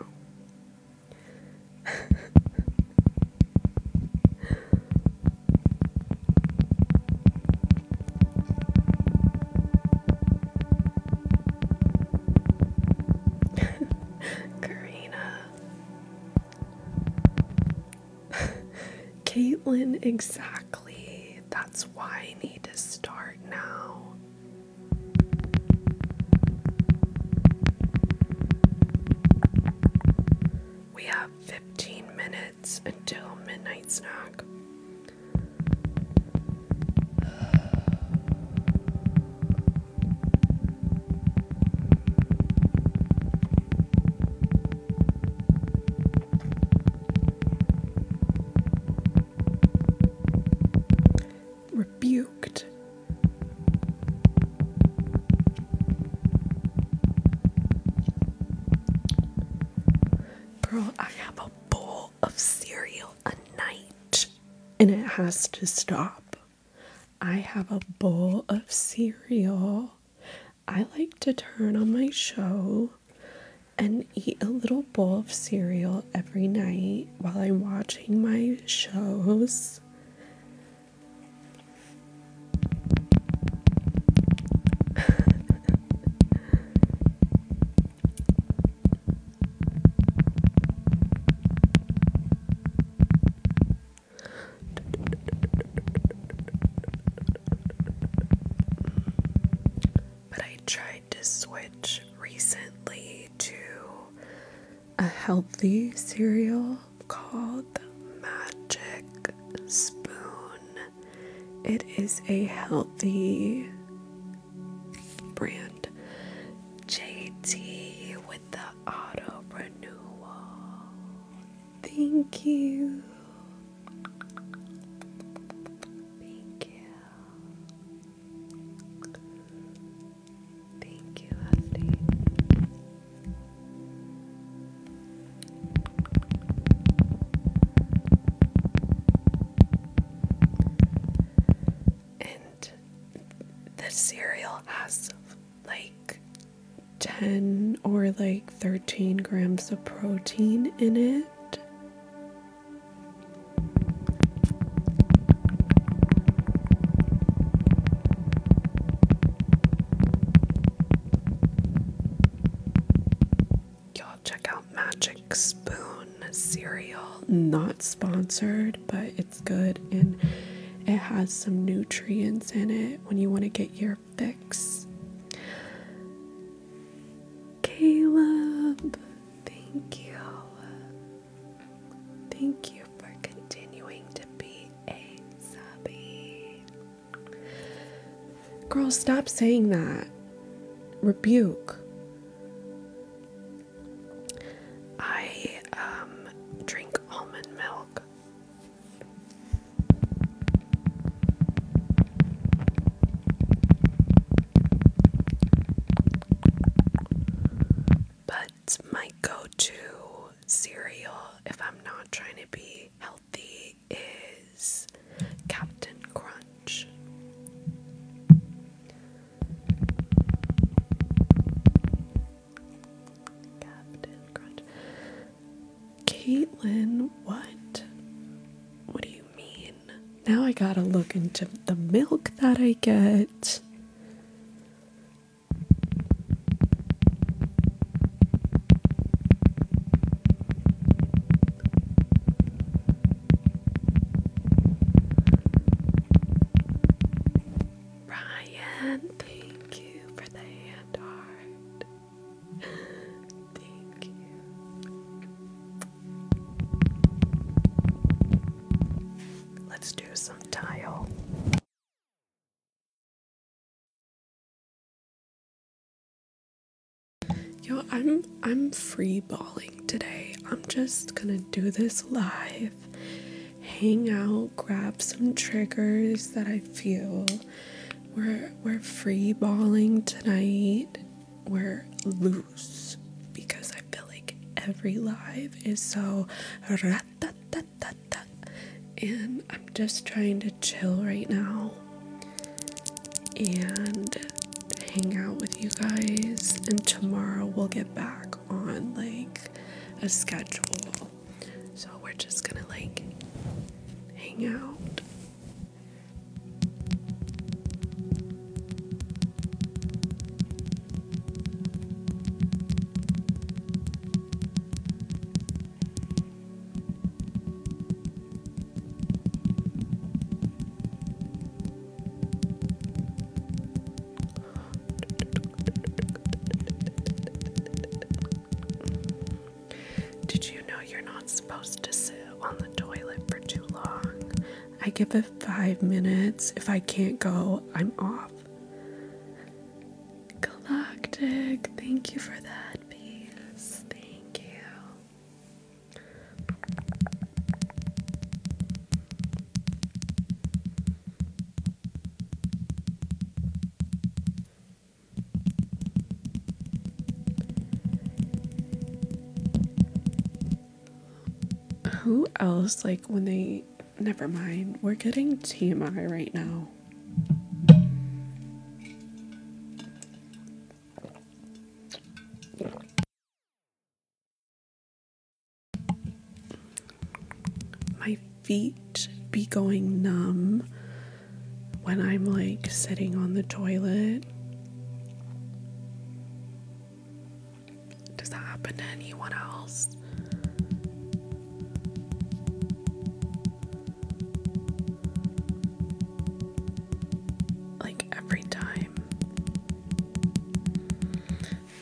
Karina. Caitlin, exactly. That's why I need to start now. We have 15 minutes until midnight snack. Rebuked Girl, I have a bowl of cereal a night and it has to stop. I have a bowl of cereal. I like to turn on my show and eat a little bowl of cereal every night while I'm watching my shows but I tried to switch recently to a healthy cereal called the Magic Spoon. It is a healthy brand. JT with the auto renewal. Thank you. Thank you. Thank you, Rusty. And the cereal has like 10 or like 13 grams of protein in it. Y'all check out Magic Spoon cereal. Not sponsored, but it's good and it has some nutrients in it when you want to get your fix. Caleb, thank you. Thank you for continuing to be Asabi. Girl, stop saying that. Rebuke. I um, drink almond milk. But my go to cereal if I'm not trying to be healthy is Captain Crunch. Captain Crunch. Caitlin, what? What do you mean? Now I gotta look into the milk that I get. Brian, thank you for the hand art. Thank you. Let's do some tile. Yo, I'm I'm free balling today. I'm just gonna do this live, hang out, grab some triggers that I feel. We're we're free balling tonight. We're loose because I feel like every live is so and I'm just trying to chill right now and hang out with you guys. And tomorrow we'll get back on like a schedule. So we're just gonna like hang out. Did you know you're not supposed to sit on the toilet for too long? I give it five minutes. If I can't go, I'm off. Galactic, thank you for that piece. Thank you. Who else, like when they Never mind, we're getting TMI right now. My feet be going numb when I'm like sitting on the toilet. Does that happen to anyone else? Like every time.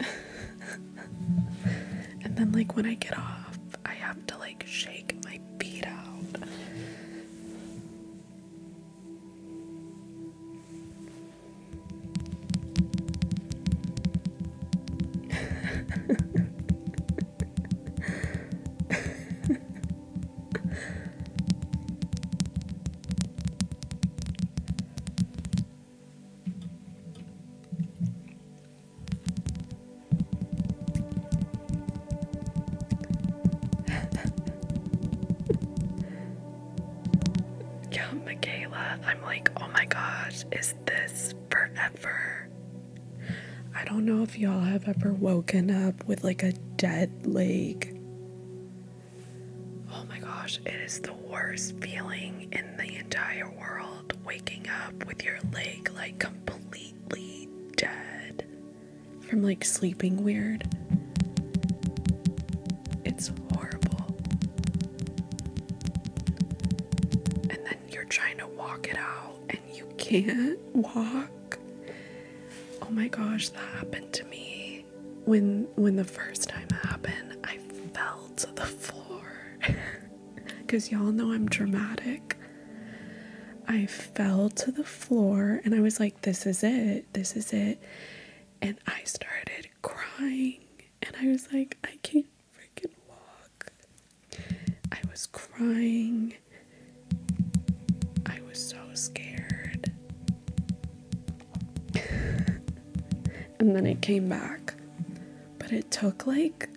and then, like, when I get off, I have to like shake my feet out. Yo, Michaela, I'm like, oh my gosh, is this forever? I don't know if y'all have ever woken up with like a dead leg. Oh my gosh, it is the worst feeling in the entire world waking up with your leg like completely dead from like sleeping weird. It's horrible. And then you're trying to walk it out you can't walk. Oh my gosh, that happened to me. When when the first time happened, I fell to the floor. Cause y'all know I'm dramatic. I fell to the floor and I was like, this is it, this is it. And I started crying and I was like, I can't freaking walk. I was crying. I was so scared. and then it came back. But it took like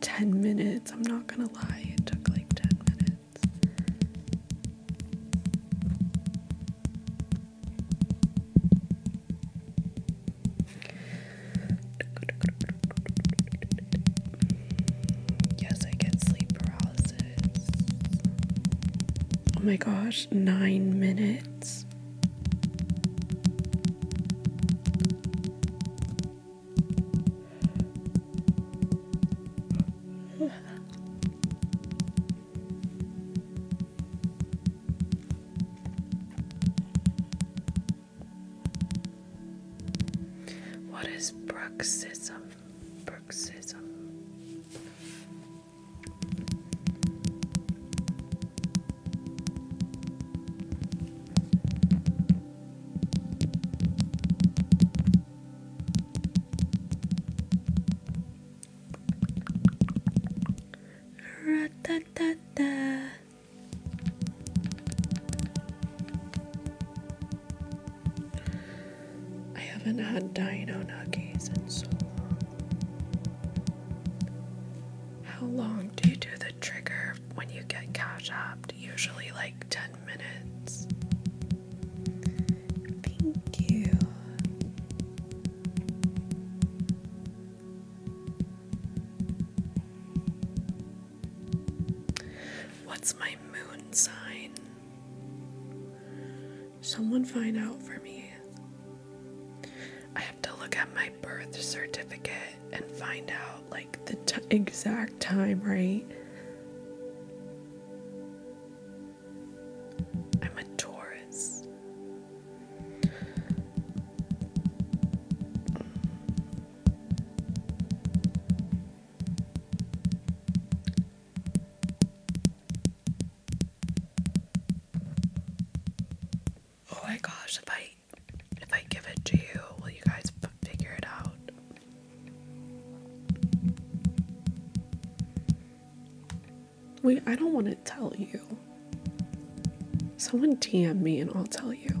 10 minutes. I'm not gonna lie, it took like 10 minutes. Yes, I get sleep paralysis. Oh my gosh, nine minutes. What is bruxism? Bruxism. ra da I haven't had dino nuggies in so long. How long do you do the trigger when you get cash apped? Usually like 10 minutes. Thank you. What's my moon sign? Someone find out for me. I have to look at my birth certificate and find out like the exact time, right? I'm a Taurus. Oh my gosh, if I if I give it to you, will you guys figure it out? Wait, I don't want to tell you. Someone DM me and I'll tell you.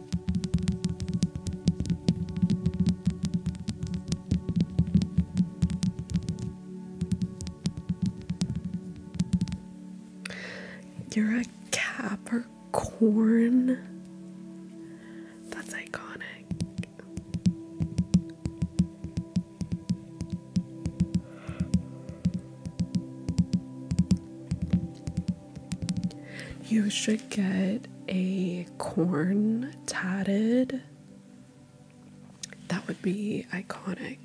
You're a Capricorn. That's iconic. You should get a corn tatted. That would be iconic.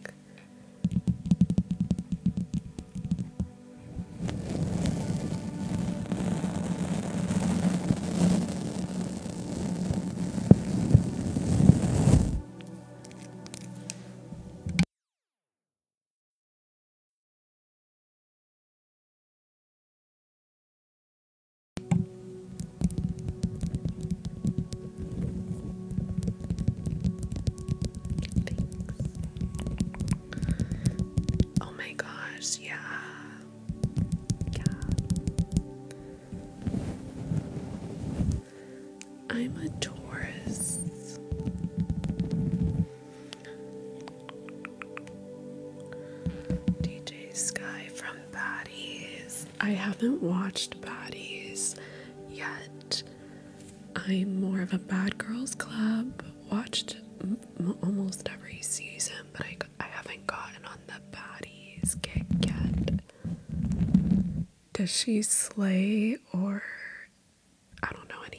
Oh my gosh, yeah. Yeah. I'm a Taurus. DJ Sky from Bodies. I haven't watched Bodies yet. I'm more of a Bad Girls Club. Watched almost every season, but I, I haven't gotten on the Bodies kick yet. Does she slay or I don't know any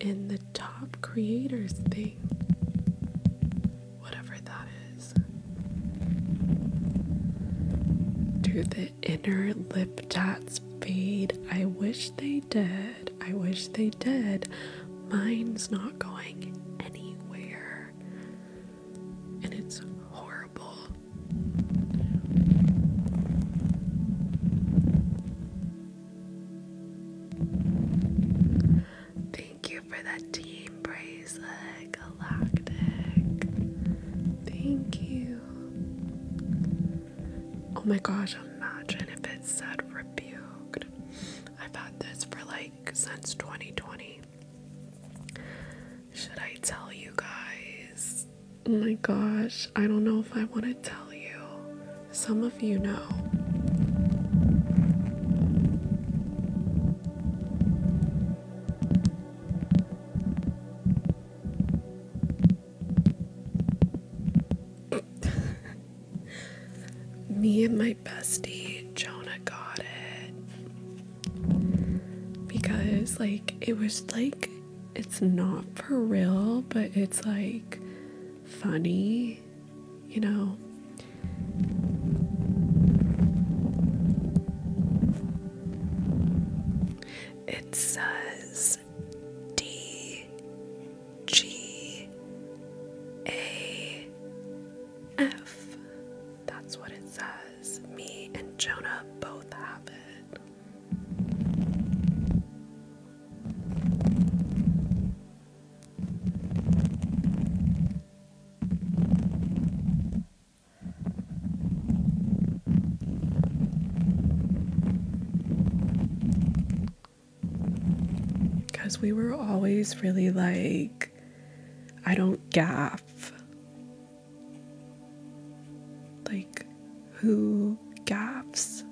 in the top creators thing, whatever that is. Do the inner lip dots fade? I wish they did. I wish they did. Mine's not going anywhere, and it's horrible. Thank you for that team bracelet, Galactic. Thank you. Oh my gosh, imagine if it said rebuked. I've had this for like since 2020. Should I tell you guys? Oh my gosh, I don't know if I want to tell you. Some of you know. Me and my bestie, Jonah, got it. Because, like, it was like, it's not for real, but it's like funny you know. It says D G A F. That's what it says. Me and Jonah both have it. Because we were always really like, I don't gaff. Like, who gaffs?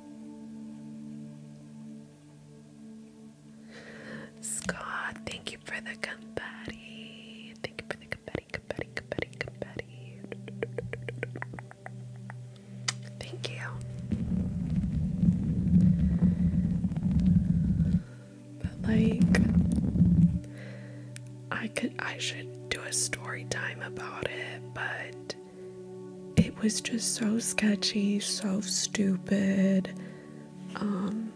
Scott, thank you for the confetti. Thank you for the confetti, confetti, confetti, confetti. Thank you. like I could I should do a story time about it, but it was just so sketchy, so stupid. Um,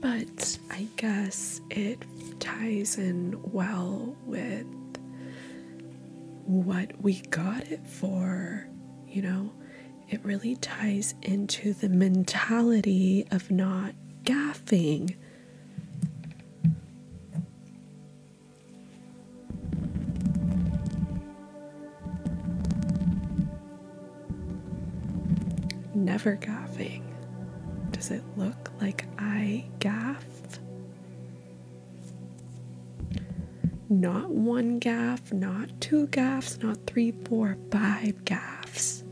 but I guess it ties in well with what we got it for, you know? it really ties into the mentality of not gaffing. Never gaffing. Does it look like I gaff? Not one gaff not two gaffs, not three, four, five gaffs.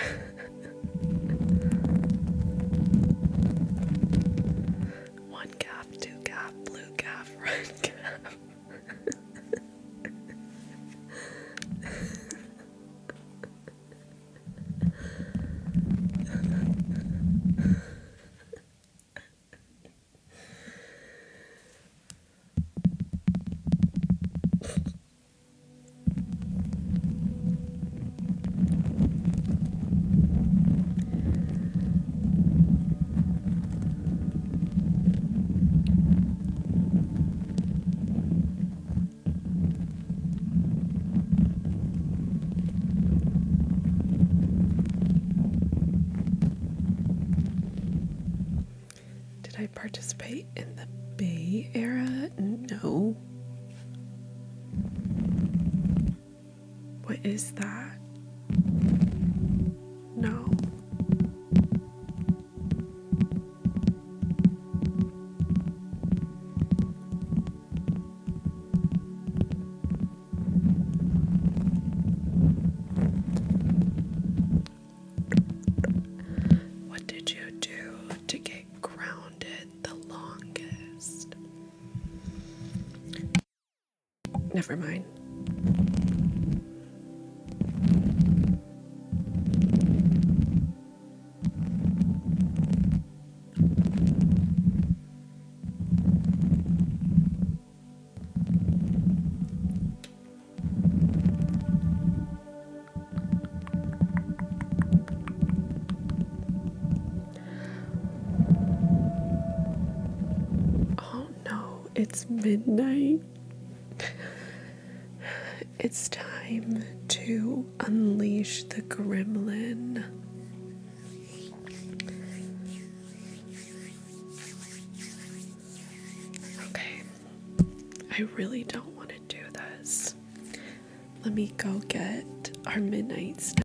One calf, two calf, blue calf, red calf. Did I participate in the Bay era? No, what is that? No. What did you do to get grounded? the longest. Never mind. Oh no, it's midnight. It's time to unleash the gremlin. Okay, I really don't want to do this. Let me go get our midnight snack.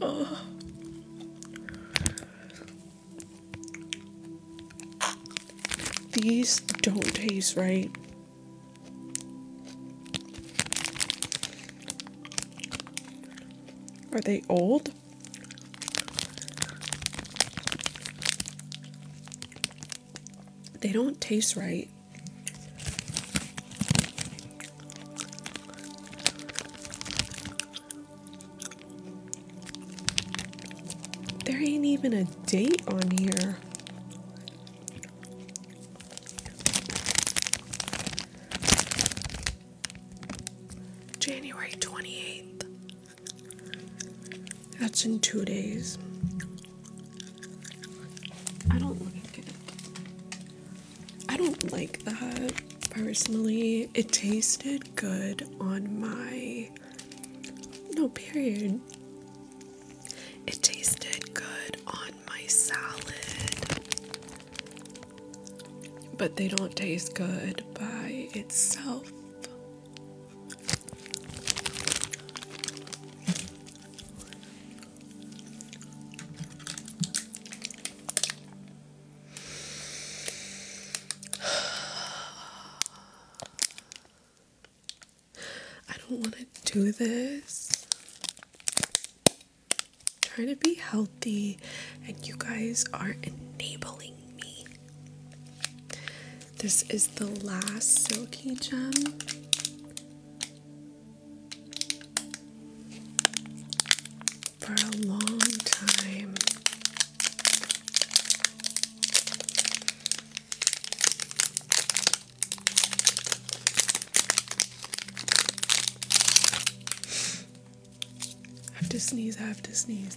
Oh. These don't taste right. Are they old? They don't taste right. There ain't even a date on here. January 28th. That's in two days. I don't like it. I don't like that personally. It tasted good on my. No, period. It tasted good on my salad. But they don't taste good by itself. I don't want to do this. Trying to be healthy, and you guys are enabling me. This is the last silky gem. For a long time, I have to sneeze, I have to sneeze.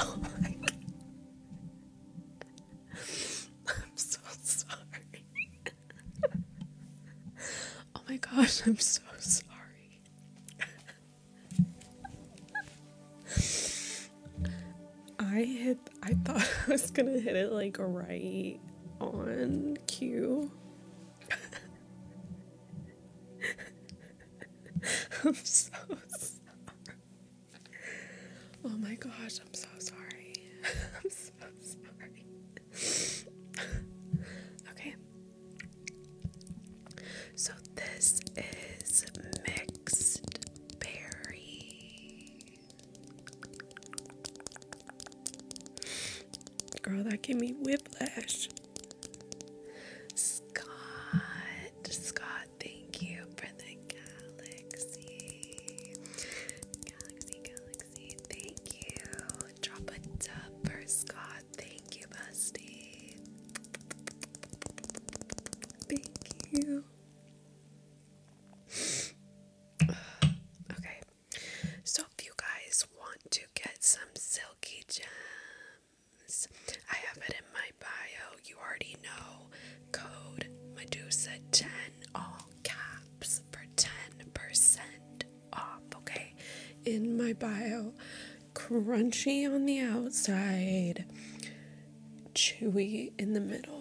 Oh my God. I'm so sorry. oh my gosh, I'm so sorry. Oh I hit I thought I was gonna hit it like right on cue. I'm so sorry. Oh my gosh, I'm so sorry. I'm so sorry. okay. So this is mixed berry. Girl, that gave me whiplash. Scott, Scott, thank you for the galaxy. Galaxy, galaxy, thank you. Drop a dub for Scott. Thank you, Busty. Thank you. okay, so, if you guys want to get some silky gems, I have it in my bio. You already know code Medusa10 all caps for 10% off. Okay, in my bio, crunchy on the outside, chewy in the middle.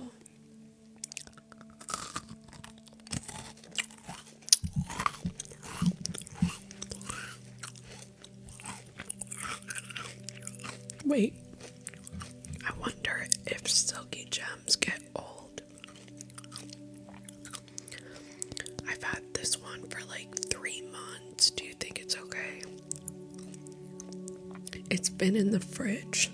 Wait, I wonder if silky gems get old. I've had this one for like three months. Do you think it's okay? It's been in the fridge.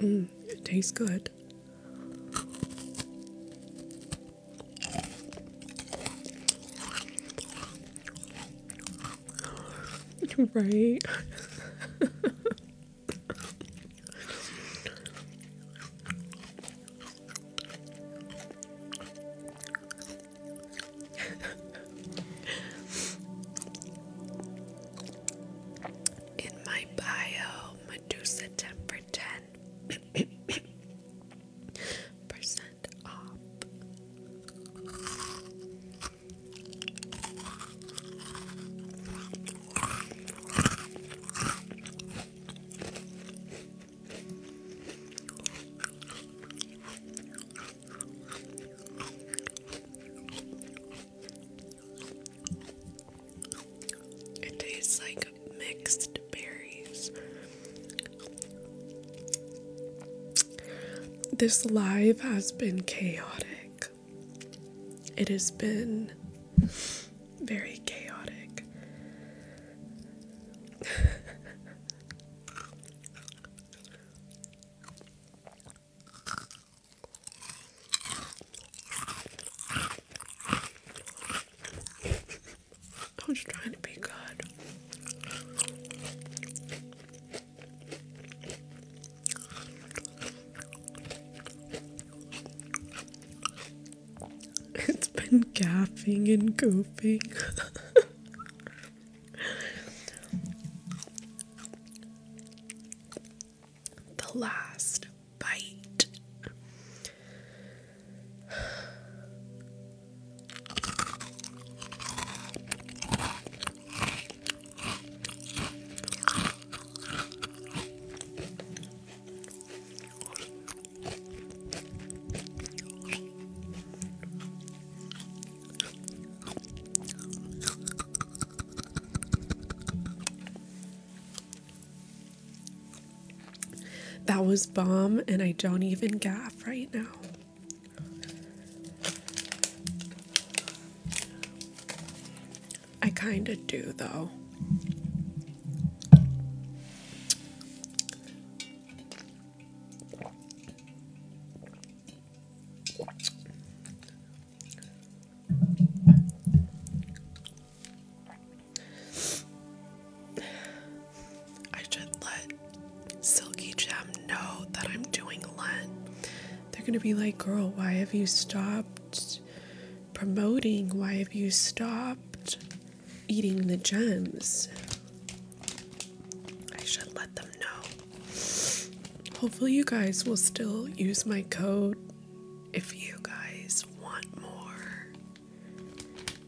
Mm, it tastes good. Right. In my bio, Medusa 10 10 percent off. It tastes like mixed berries. This live has been chaotic. It has been very chaotic. I was trying to be good. It's been gaffing and goofing. the last bite. That was bomb, and I don't even gaff right now. I kind of do, though. I should let Silky Gem know that I'm doing Lent. They're gonna be like, girl, why have you stopped? promoting why have you stopped eating the gems i should let them know hopefully you guys will still use my code if you guys want more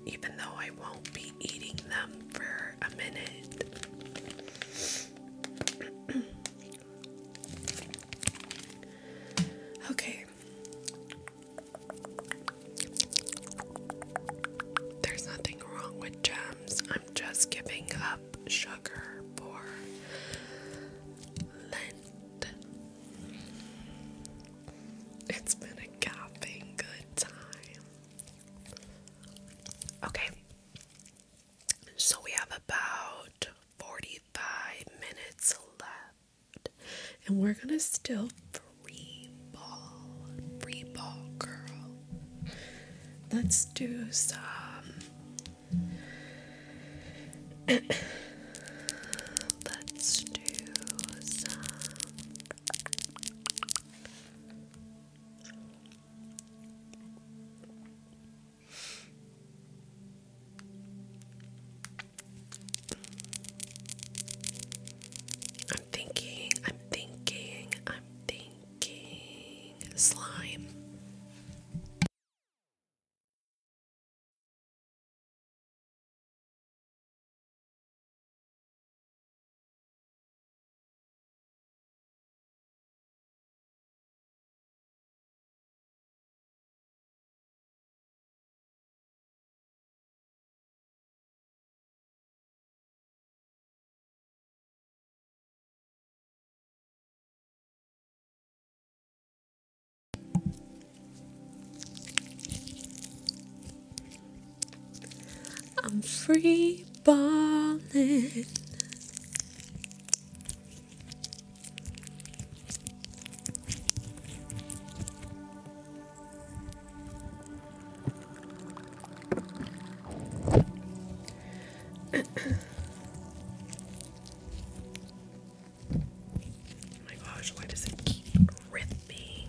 even though i won't be eating them for a minute Okay, there's nothing wrong with gems. I'm just giving up sugar for Lent. It's been a caffeine good time. Okay. So we have about 45 minutes left. And we're gonna still free ball, free ball, girl. Let's do some. Let's do some. I'm thinking, I'm thinking, I'm thinking slime. I'm free balling oh my gosh, why does it keep ripping?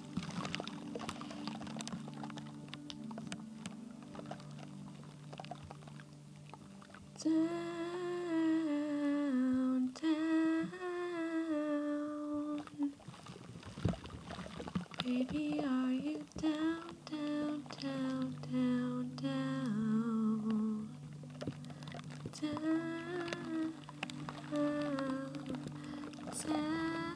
Downtown. Baby, are you down, down, down, down, down? Down, down around.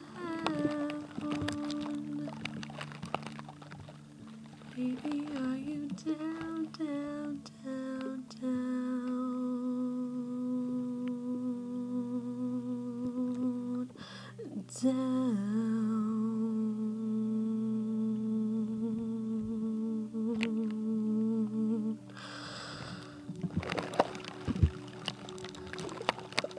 Baby, are you down, down, down, down, down?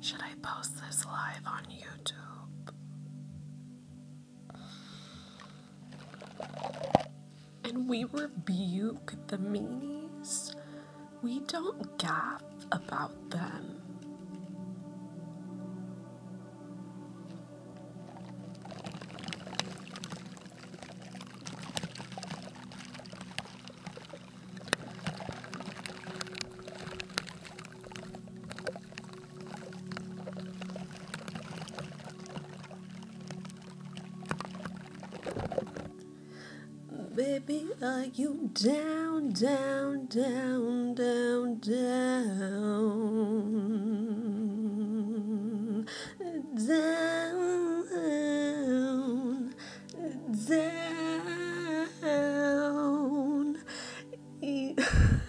Should I post this live on YouTube? And we rebuke the meanies. We don't gaff about them. Baby, are you down, down, down, down, down? down, down.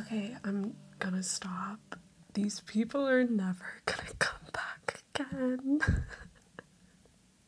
okay, I'm gonna stop. These people are never gonna come back again.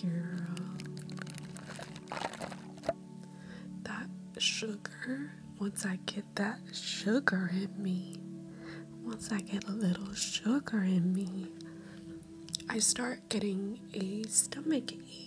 Girl. Uh, that sugar once I get that sugar in me, once I get a little sugar in me, I start getting a stomach ache.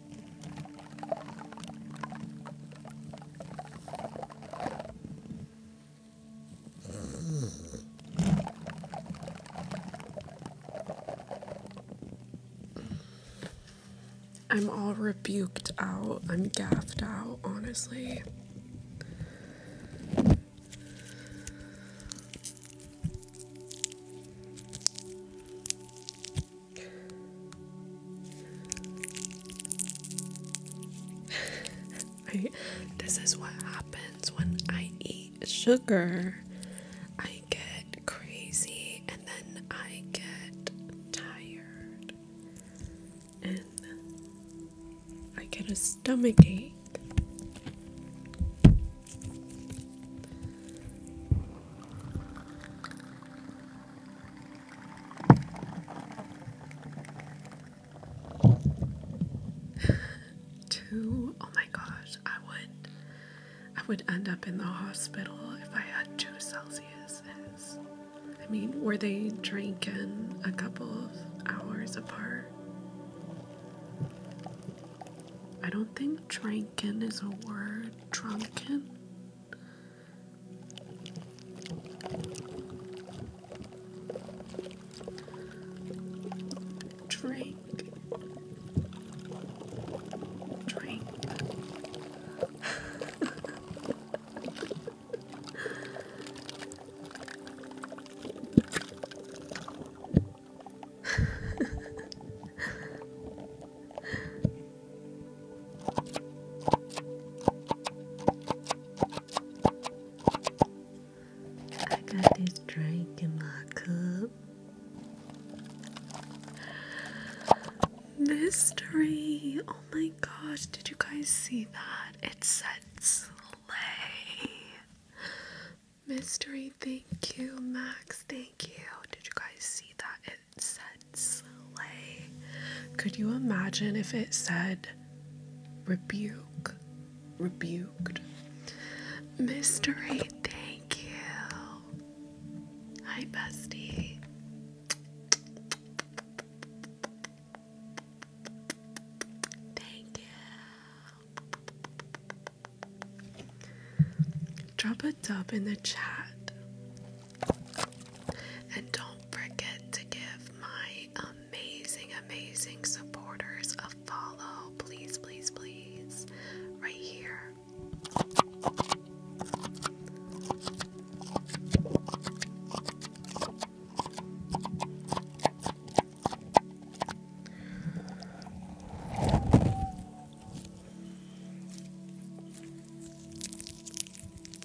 I'm all rebuked out. I'm gaffed out, honestly. This is what happens when I eat sugar. I get crazy and then I get tired. And I get a stomach ache. two? Oh my gosh, I would I would end up in the hospital if I had two Celsius. I mean, were they drinking a couple of hours apart? I don't think drinking is a word. Drunken? Drink, drink. I got this drink in my cup. Mystery! Oh my gosh, did you guys see that? It said slay. Mystery, thank you, Max. Thank you. Did you guys see that? slay. Could you imagine if it said rebuke? Rebuked. Mystery, thank you. Hi, bestie. Thank you. Drop a dub in the chat. And don't forget to give my amazing, amazing supporters a follow. Please, please, please. Right here.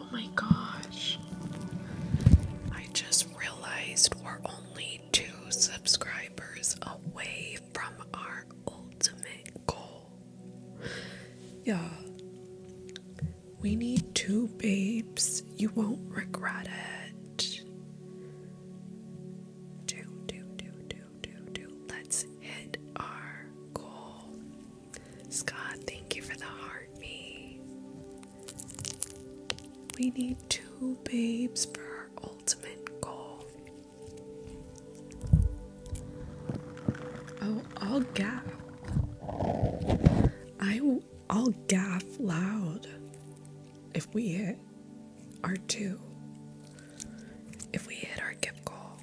Oh my gosh. I just realized we're only two subscribers away from our ultimate goal. Yeah. We need two babes. You won't regret it. Do, do, do, do, do, do. Let's hit our goal. Scott, thank you for the heart heartbeat. We need two babes for our ultimate goal. Oh, I'll gaff. I I'll gaff loud if we hit our two. If we hit our gift goal.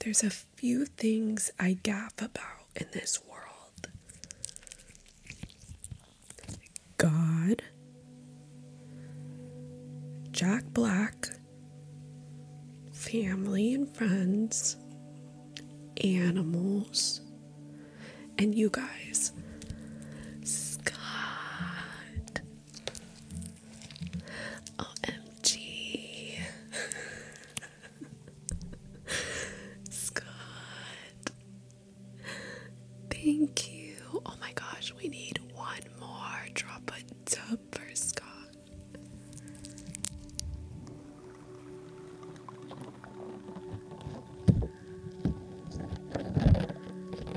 There's a few things I gaff about in this world God, Jack Black, family and friends, animals, and you guys. Scott. OMG. Scott. Thank you. Oh my gosh, we need one more. Drop a dub for Scott.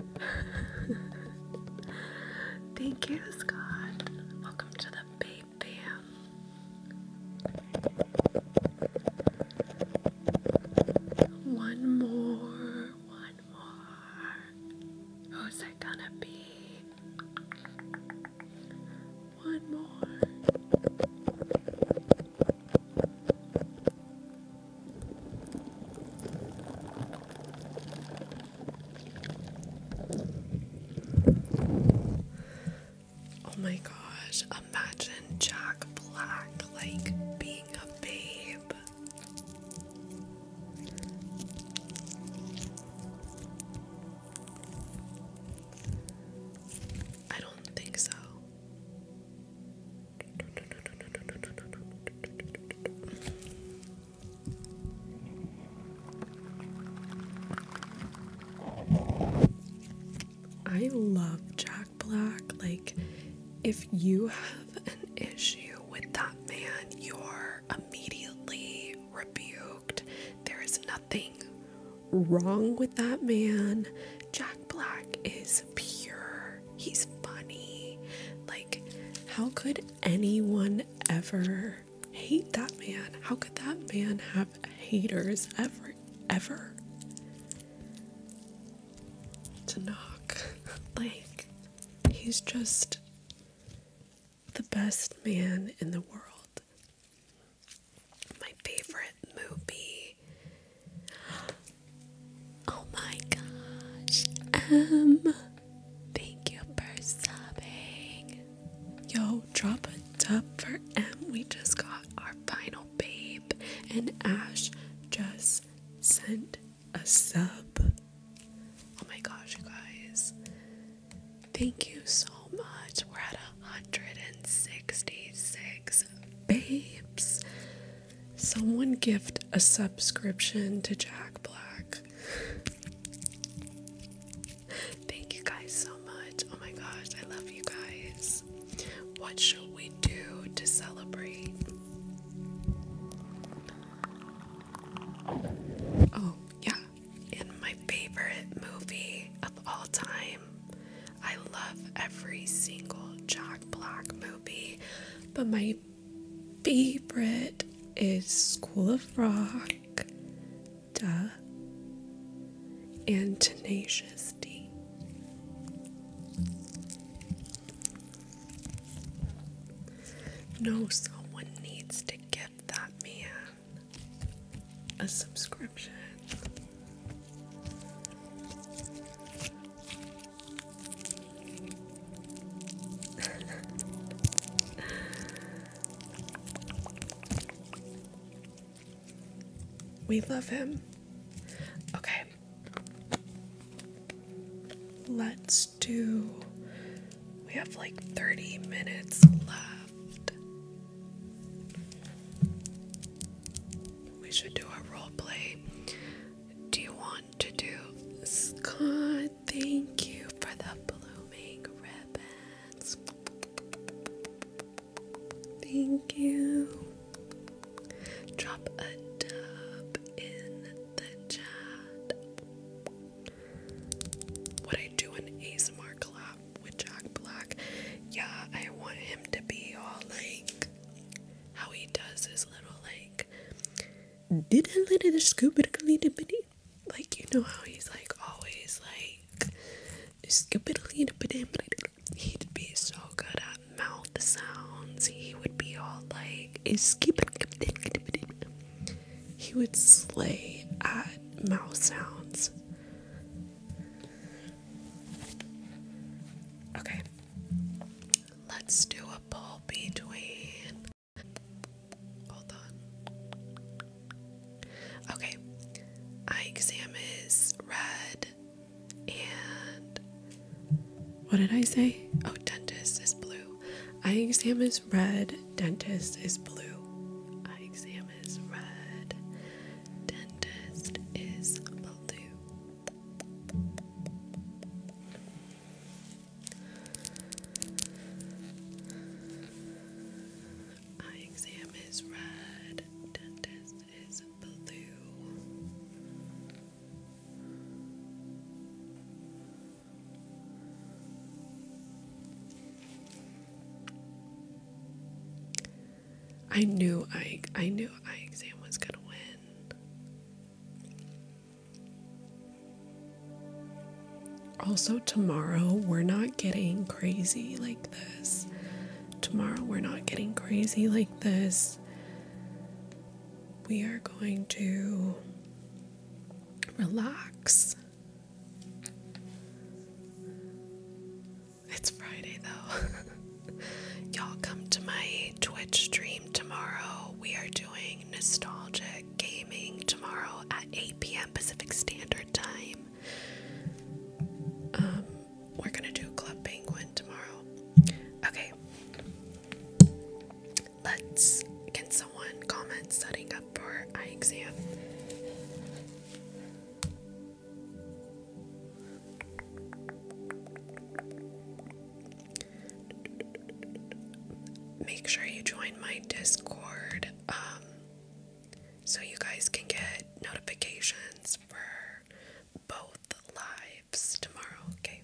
Thank you, Scott. Welcome to the Babe Bam. One more, one more. Who's it gonna be? One more. Oh my gosh, imagine Jack Black like being a babe. I don't think so. I love Jack Black. Like, if you have an issue with that man, you're immediately rebuked. There is nothing wrong with that man. Jack Black is pure, he's funny. Like, how could anyone ever hate that man? How could that man have haters ever, ever? To knock. Like, he's just the best man in the world. My favorite movie. Oh my gosh. Um. Thank you for subbing. Yo, drop a dub for M. We just got our final babe, and Ash just sent a sub. Oh my gosh, guys. Thank you so much. We're at 166 babes. Someone gift a subscription to Jack Black. Thank you guys so much. Oh my gosh, I love you guys. What should we do to celebrate? Oh, yeah. In my favorite movie of all time, I love every single Jack Black movie, but my favorite is School of Rock, Duh, and Tenacious D. No, someone needs to give that man a subscription. we love him. Okay. Let's do. We have like 30 minutes left. We should do a role play. Do you want to do. Scott, thank you for the blooming ribbons. Thank you. Drop a dub in the chat. What I do in ASMR collab with Jack Black? Yeah, I want him to be all like how he does his little like did a little scoop it like you know how he's like always like skippity he'd be so good at mouth sounds he would be all like he would slay at mouth sounds okay let's do a poll between Okay. Eye exam is red and what did I say? Oh, dentist is blue. Eye exam is red, dentist is blue. Eye exam is red, dentist is blue. Eye exam is red, dentist is blue. I knew I I knew eye exam was gonna win. Also, tomorrow we're not getting crazy like this. Tomorrow we're not getting crazy like this. We are going to relax. It's Friday though. Y'all come to my Twitch stream tomorrow. We are doing nostalgic gaming tomorrow at 8 p.m. Pacific Standard Time. Um, we're gonna do Club Penguin tomorrow. Okay. Let's can someone comment setting up for eye exam? make sure you join my Discord um, so you guys can get notifications for both lives tomorrow, okay?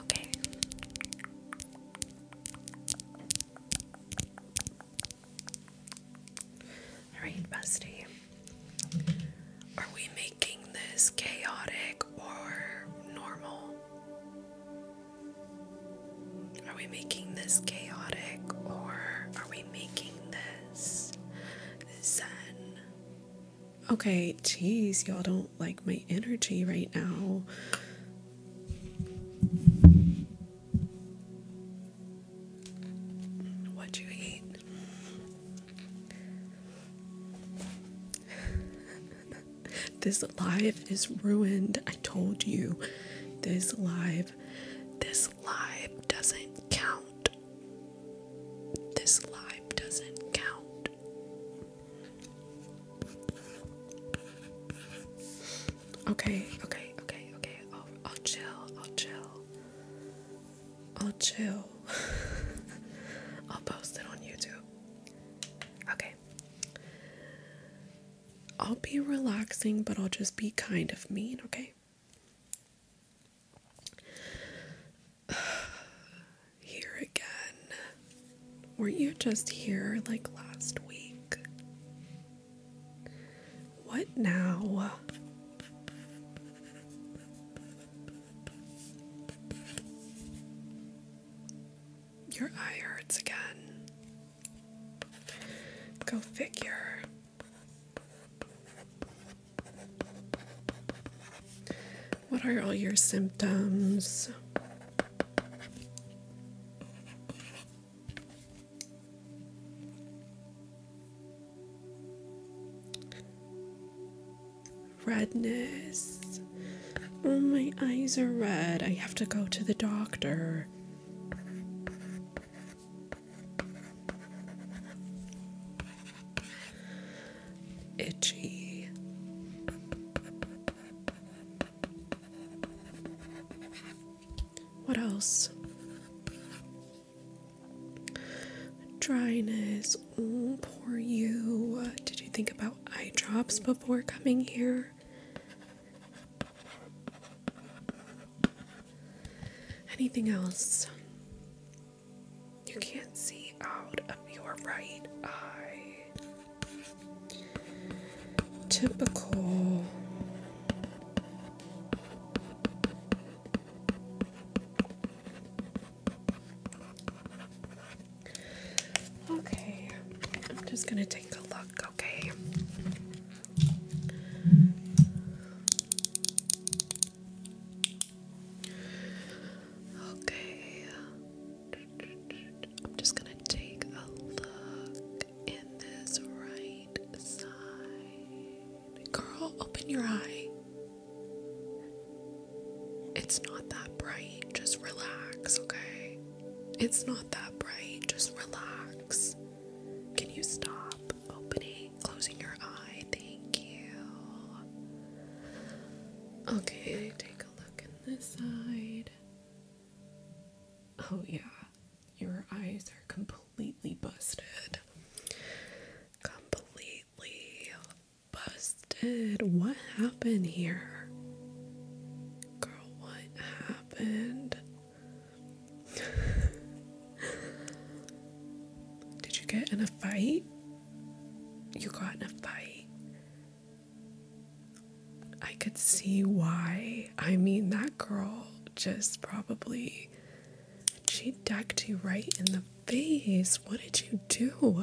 Okay. Alright, Busty. Are we making this chaotic or normal? Are we making this chaotic or are we making this zen? Okay, jeez, y'all don't like my energy right now. What you eat? this life is ruined. I told you. This life, this live doesn't count. This life doesn't count. Okay, okay, okay, okay. I'll, I'll chill. I'll chill. I'll chill. I'll post it on YouTube. Okay. I'll be relaxing, but I'll just be kind of mean, okay? here again. Weren't you just here like last week? What now? Your eye hurts again. Go figure. What are all your symptoms? Redness. Oh, my eyes are red. I have to go to the doctor. Itchy. What else? Dryness. poor you. Did you think about eye drops before coming here? Anything else? You can't see out of your right eye typical okay i'm just going to take a look okay okay I'm just going to take a look in this right side. Girl, open your eye. It's not that bright. Just relax, okay? It's not that bright. Just relax. Can you stop opening, closing your eye? Thank you. Okay, take a look in this side. Oh, yeah, your eyes are completely busted. Completely busted. What happened here? Girl, what happened? Did you get in a fight? You got in a fight. I could see why. I mean, that girl just probably. She decked you right in the face. What did you do?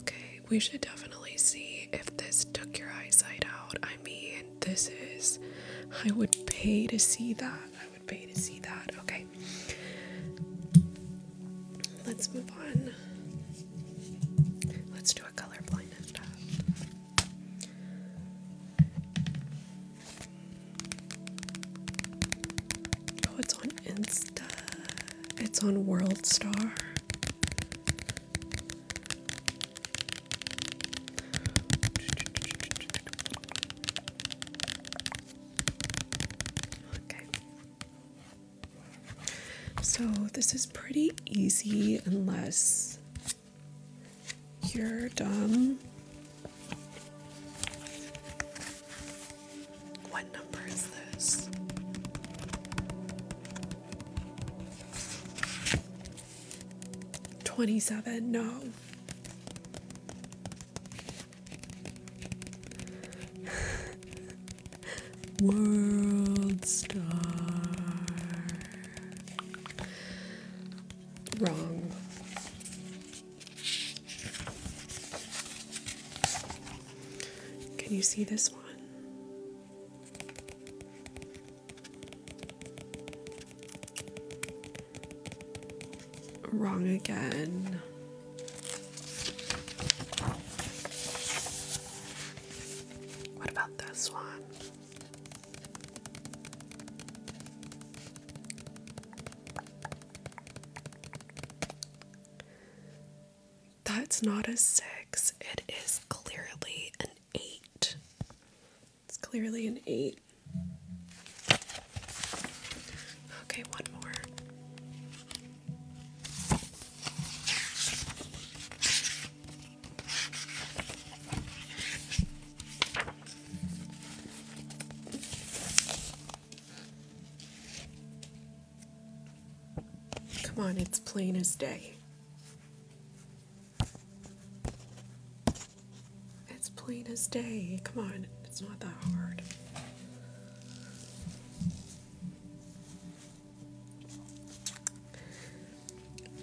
Okay, we should definitely see if this took your eyesight out. I mean, this is. I would pay to see that. I would pay to see that. Okay. Let's move on. Let's do a colorblind Oh, it's on Insta. It's on World Star. Okay. So, this is pretty easy unless you're dumb. What number is this? Twenty seven, no. World star. Wrong. Can you see this one? Wrong again. What about this one? That's not a six, it is clearly an eight. It's clearly an eight. Okay, one more. Come on, it's plain as day. It's plain as day. Come on, it's not that hard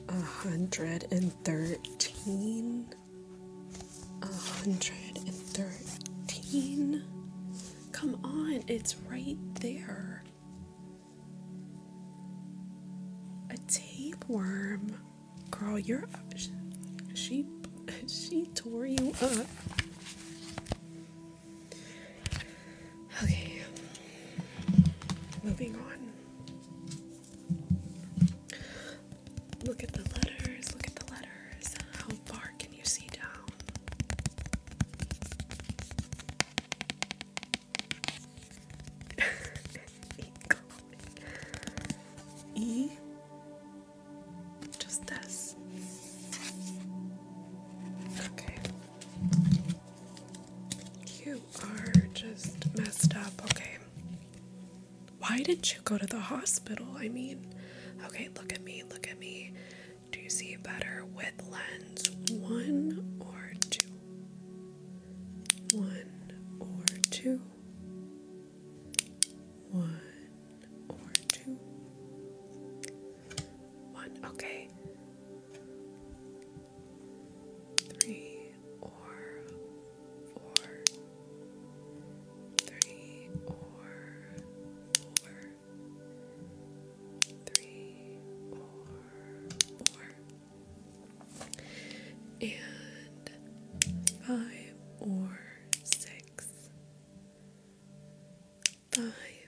a hundred and thirteen, a hundred and thirteen. Come on, it's right there. A tapeworm, girl. You're she she tore you up. Okay, moving on. Look at the letters, look at the letters. How far can you see down? E just this. Okay. You are just messed up. Okay. Why didn't you go to the hospital? I mean, okay, look at me, look at me. Do you see better with lens one or two? One or two? One or two? One, okay. Three or four. Three or four. Three or four. And five or six. Five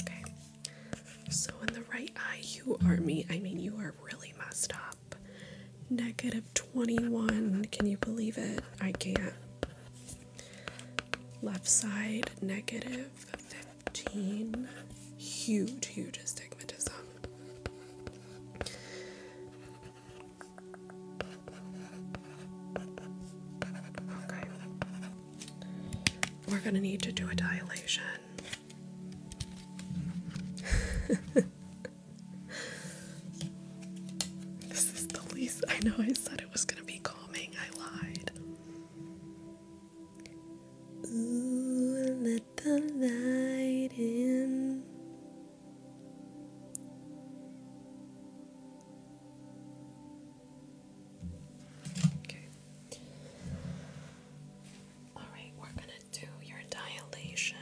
Okay. So in the right eye, you are me. I mean, you are really messed up. Negative 21. Can you believe it? I can't. Left side, negative 15. Huge, huge astigmatism. Okay. We're gonna need to do a dilation. this is the least. I know I said it was gonna be calming. I lied. Ooh, let the light in. All right, we're going to do your dilation.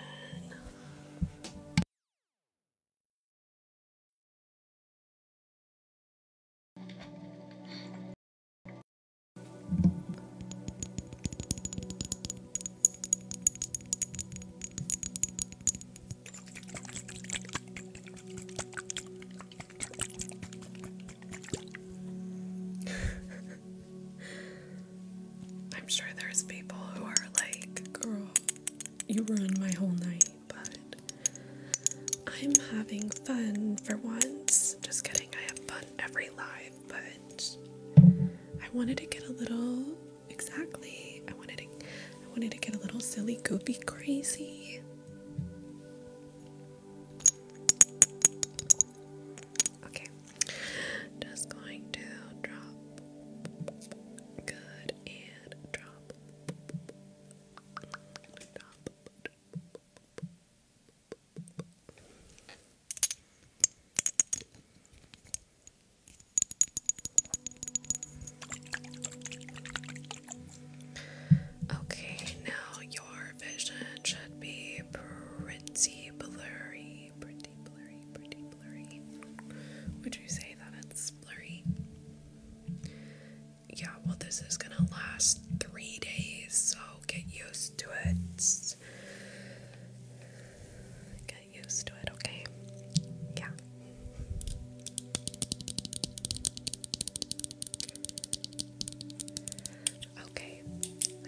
I'm sure there's people who are like, girl, you ruined my whole night, but I'm having fun for once. Just kidding, I have fun every live, but I wanted to get a little exactly. I wanted to I wanted to get a little silly, goofy, crazy. Okay, just going to drop. Good and drop. Okay, now your vision should be pretty blurry. Pretty blurry, pretty blurry. Would you say that it's blurry? Yeah, well, this is gonna last three days, so get used to it. Get used to it, okay? Yeah. Okay,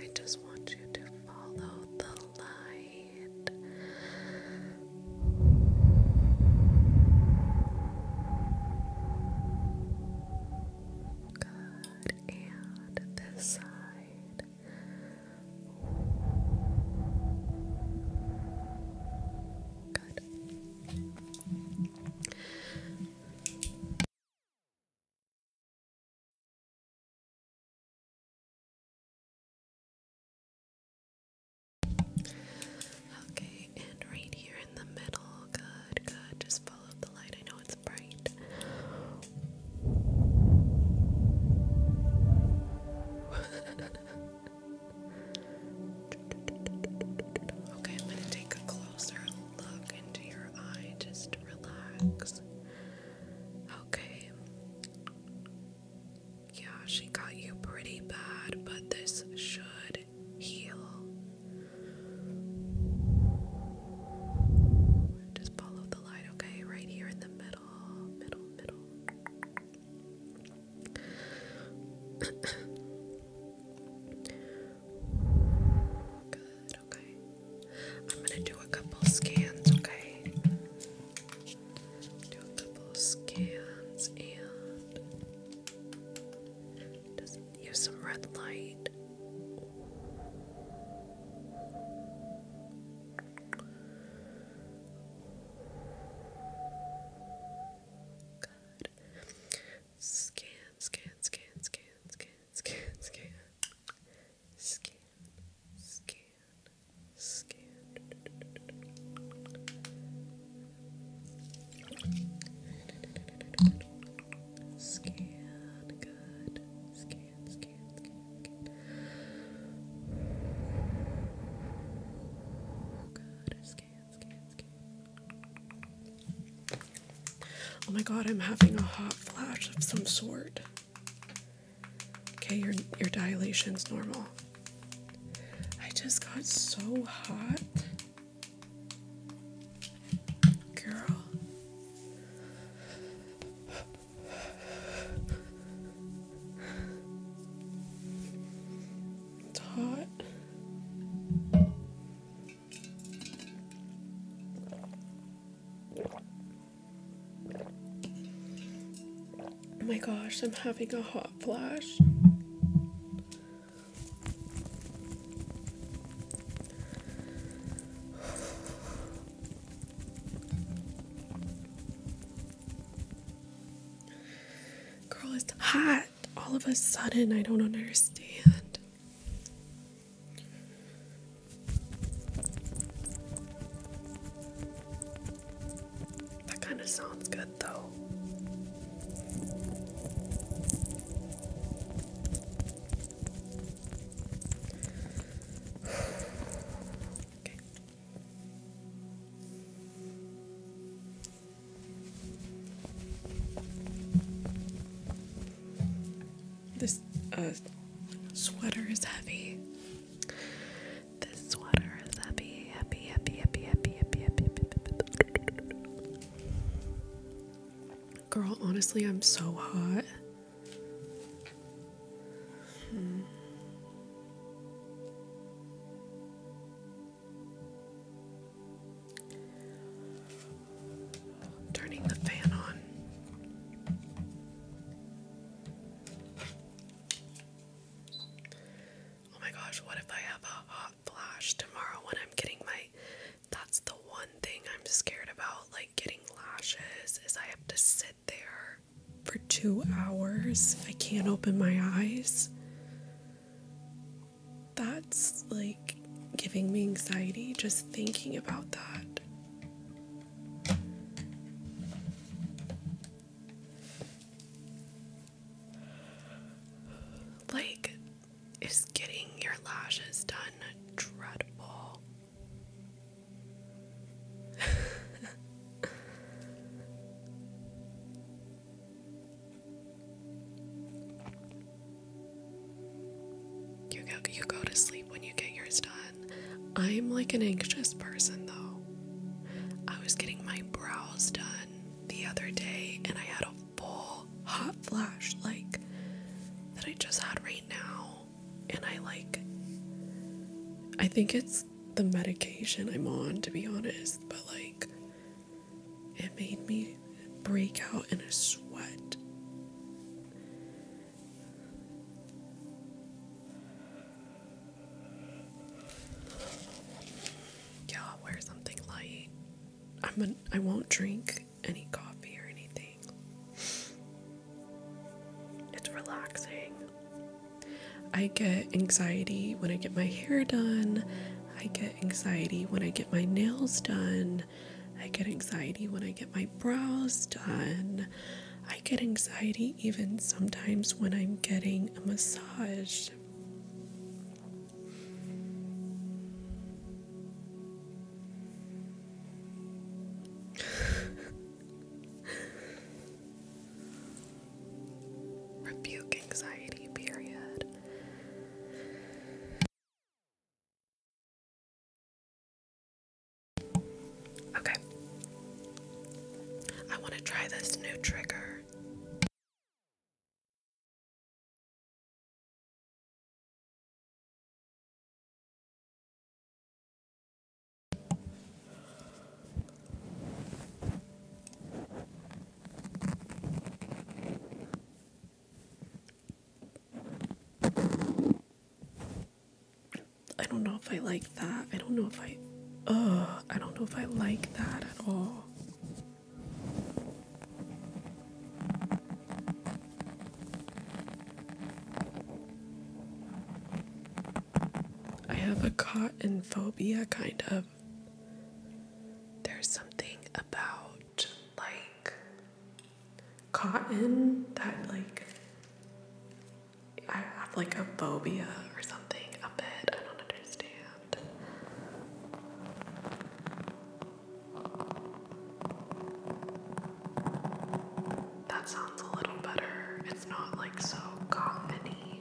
I just want you to follow the light. Good, and this side. Good. Okay, and right here in the middle. Good, good. Just follow the light. I know it's bright. okay, I'm going to take a closer look into your eye, just relax. Okay. Yeah, she got you pretty bad, but this should heal. Just follow the light, okay? Right here in the middle, middle, middle. Good, okay. I'm gonna do a couple scans, okay? Do a couple scans and use some red light. Good. Scan, scan, scan, scan, scan scan, scan, scan, scan, scan. Scan, good. scan, scan, scan. Good. Scan, scan, scan. Oh my god, I'm having a hot flash of some sort. Okay, your your dilation's normal. I just got so hot. Girl. It's hot. Oh my gosh, I'm having a hot flash. Girl, it's hot all of a sudden. I don't understand. That kind of sounds good though. okay. This sweater is heavy. This sweater is heavy, heavy, heavy, heavy, heavy, heavy, heavy, heavy. Girl, honestly, I'm so hot. Turning the fan on. Oh my gosh, what if I have a hot flash tomorrow when I'm getting my. That's the one thing I'm scared about, like getting lashes, is I have to sit there for two hours. I can't open my eyes. That's like giving me anxiety just thinking about that. Like, is getting your lashes done dreadful? You go you go to sleep when you get yours done. I'm like an anxious person though. I was getting my brows done the other day and I had a full hot flash like that I just had right now and I like I think it's the medication I'm on to be honest, but like it made me break out in a sweat. Yeah, wear something light. I'm I won't drink any coffee or anything. It's relaxing. I get anxiety when I get my hair done. I get anxiety when I get my nails done. I get anxiety when I get my brows done. I get anxiety even sometimes when I'm getting a massage. Rebuke anxiety, period. Okay. I want to try this new trigger. I don't know if I like that. I don't know if I. Ugh, I don't know if I like that at all. I have a cotton phobia, kind of. There's something about, like, cotton that like I have like a phobia or something of it. I don't understand. That sounds a little better. It's not like so commony.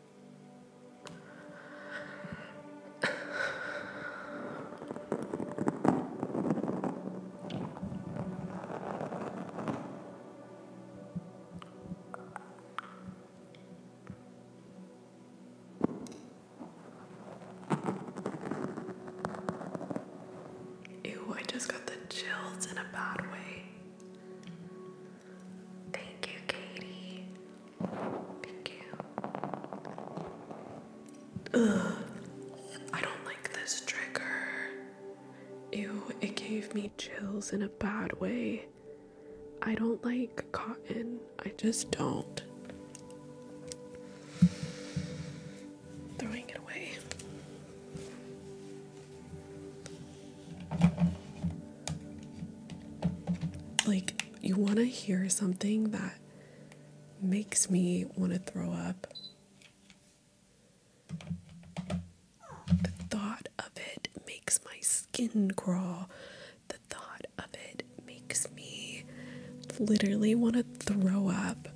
Ew, I just got the chills in a bad way. Thank you, Katie. Thank you. Ugh. I don't like this trigger. Ew, it gave me chills in a bad way. I don't like cotton. I just don't. Throwing it away. Like, you want to hear something that makes me want to throw up. The thought of it makes my skin crawl. The thought of it makes me literally want to throw up.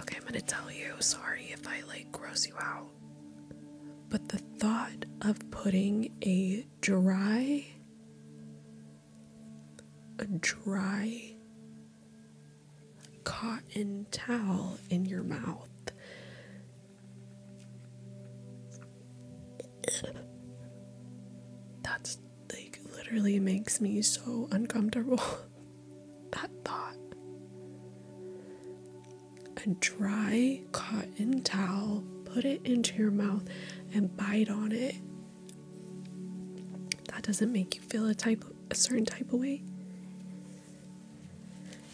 Okay, I'm going to tell you. Sorry if I like gross you out. But the thought of putting a dry, a dry cotton towel in your mouth. That's like literally makes me so uncomfortable. that thought a dry cotton towel, put it into your mouth, and bite on it. That doesn't make you feel a type a certain type of way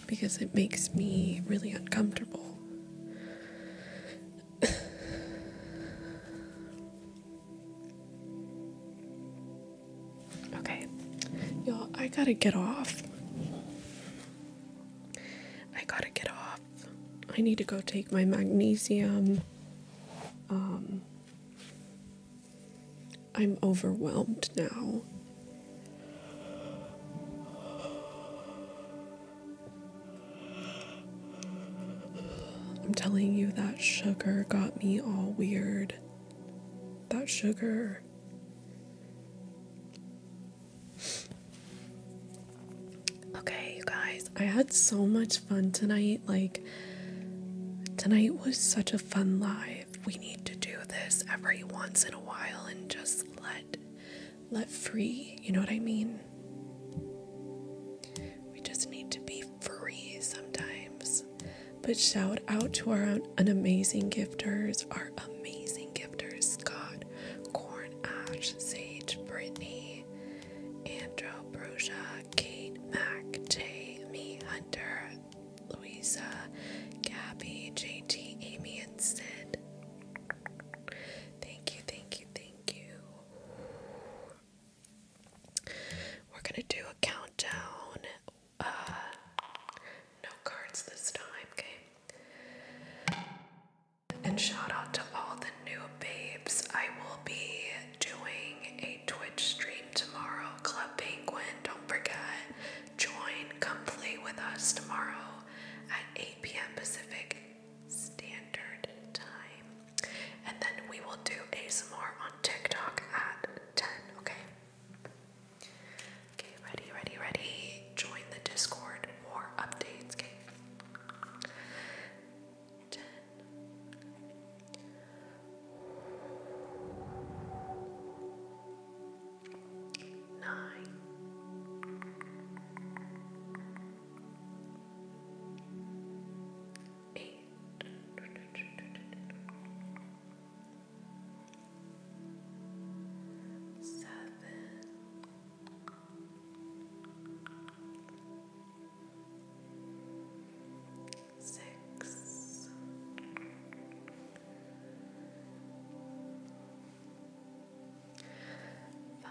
because it makes me really uncomfortable. okay. Y'all, I gotta get off. I gotta get off. I need to go take my magnesium. Um, I'm overwhelmed now. I'm telling you, that sugar got me all weird. That sugar. Okay, you guys, I had so much fun tonight. Like, tonight was such a fun live. We need to do this every once in a while and just let let free, you know what I mean? We just need to be free sometimes. But shout out to our an amazing gifters, our amazing gifters Scott, Corn Ash, Sage, Brittany, Andrew, Brosia, Kate, Mac, Jamie, Hunter, Louisa, Gabby, JT, Amy, and Sid. Thank you, thank you, thank you. We're gonna do a countdown uh, no cards this time, okay? And shout out to all the new babes. I will be doing a Twitch stream tomorrow, Club Penguin. Don't forget, join, come with us tomorrow at 8 p.m. Pacific Standard Time. And then we will do ASMR on TikTok at 10, okay? Okay, ready, ready, ready. Join the Discord for updates. Okay. 10 Nine. Eight seven, six, five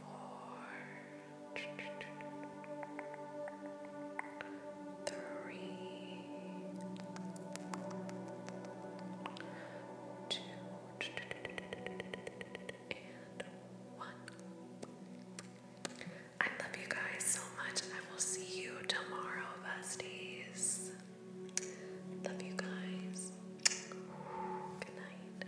four, three, two, and one. I love you guys so much. I will see you tomorrow, besties. Love you guys. Good night.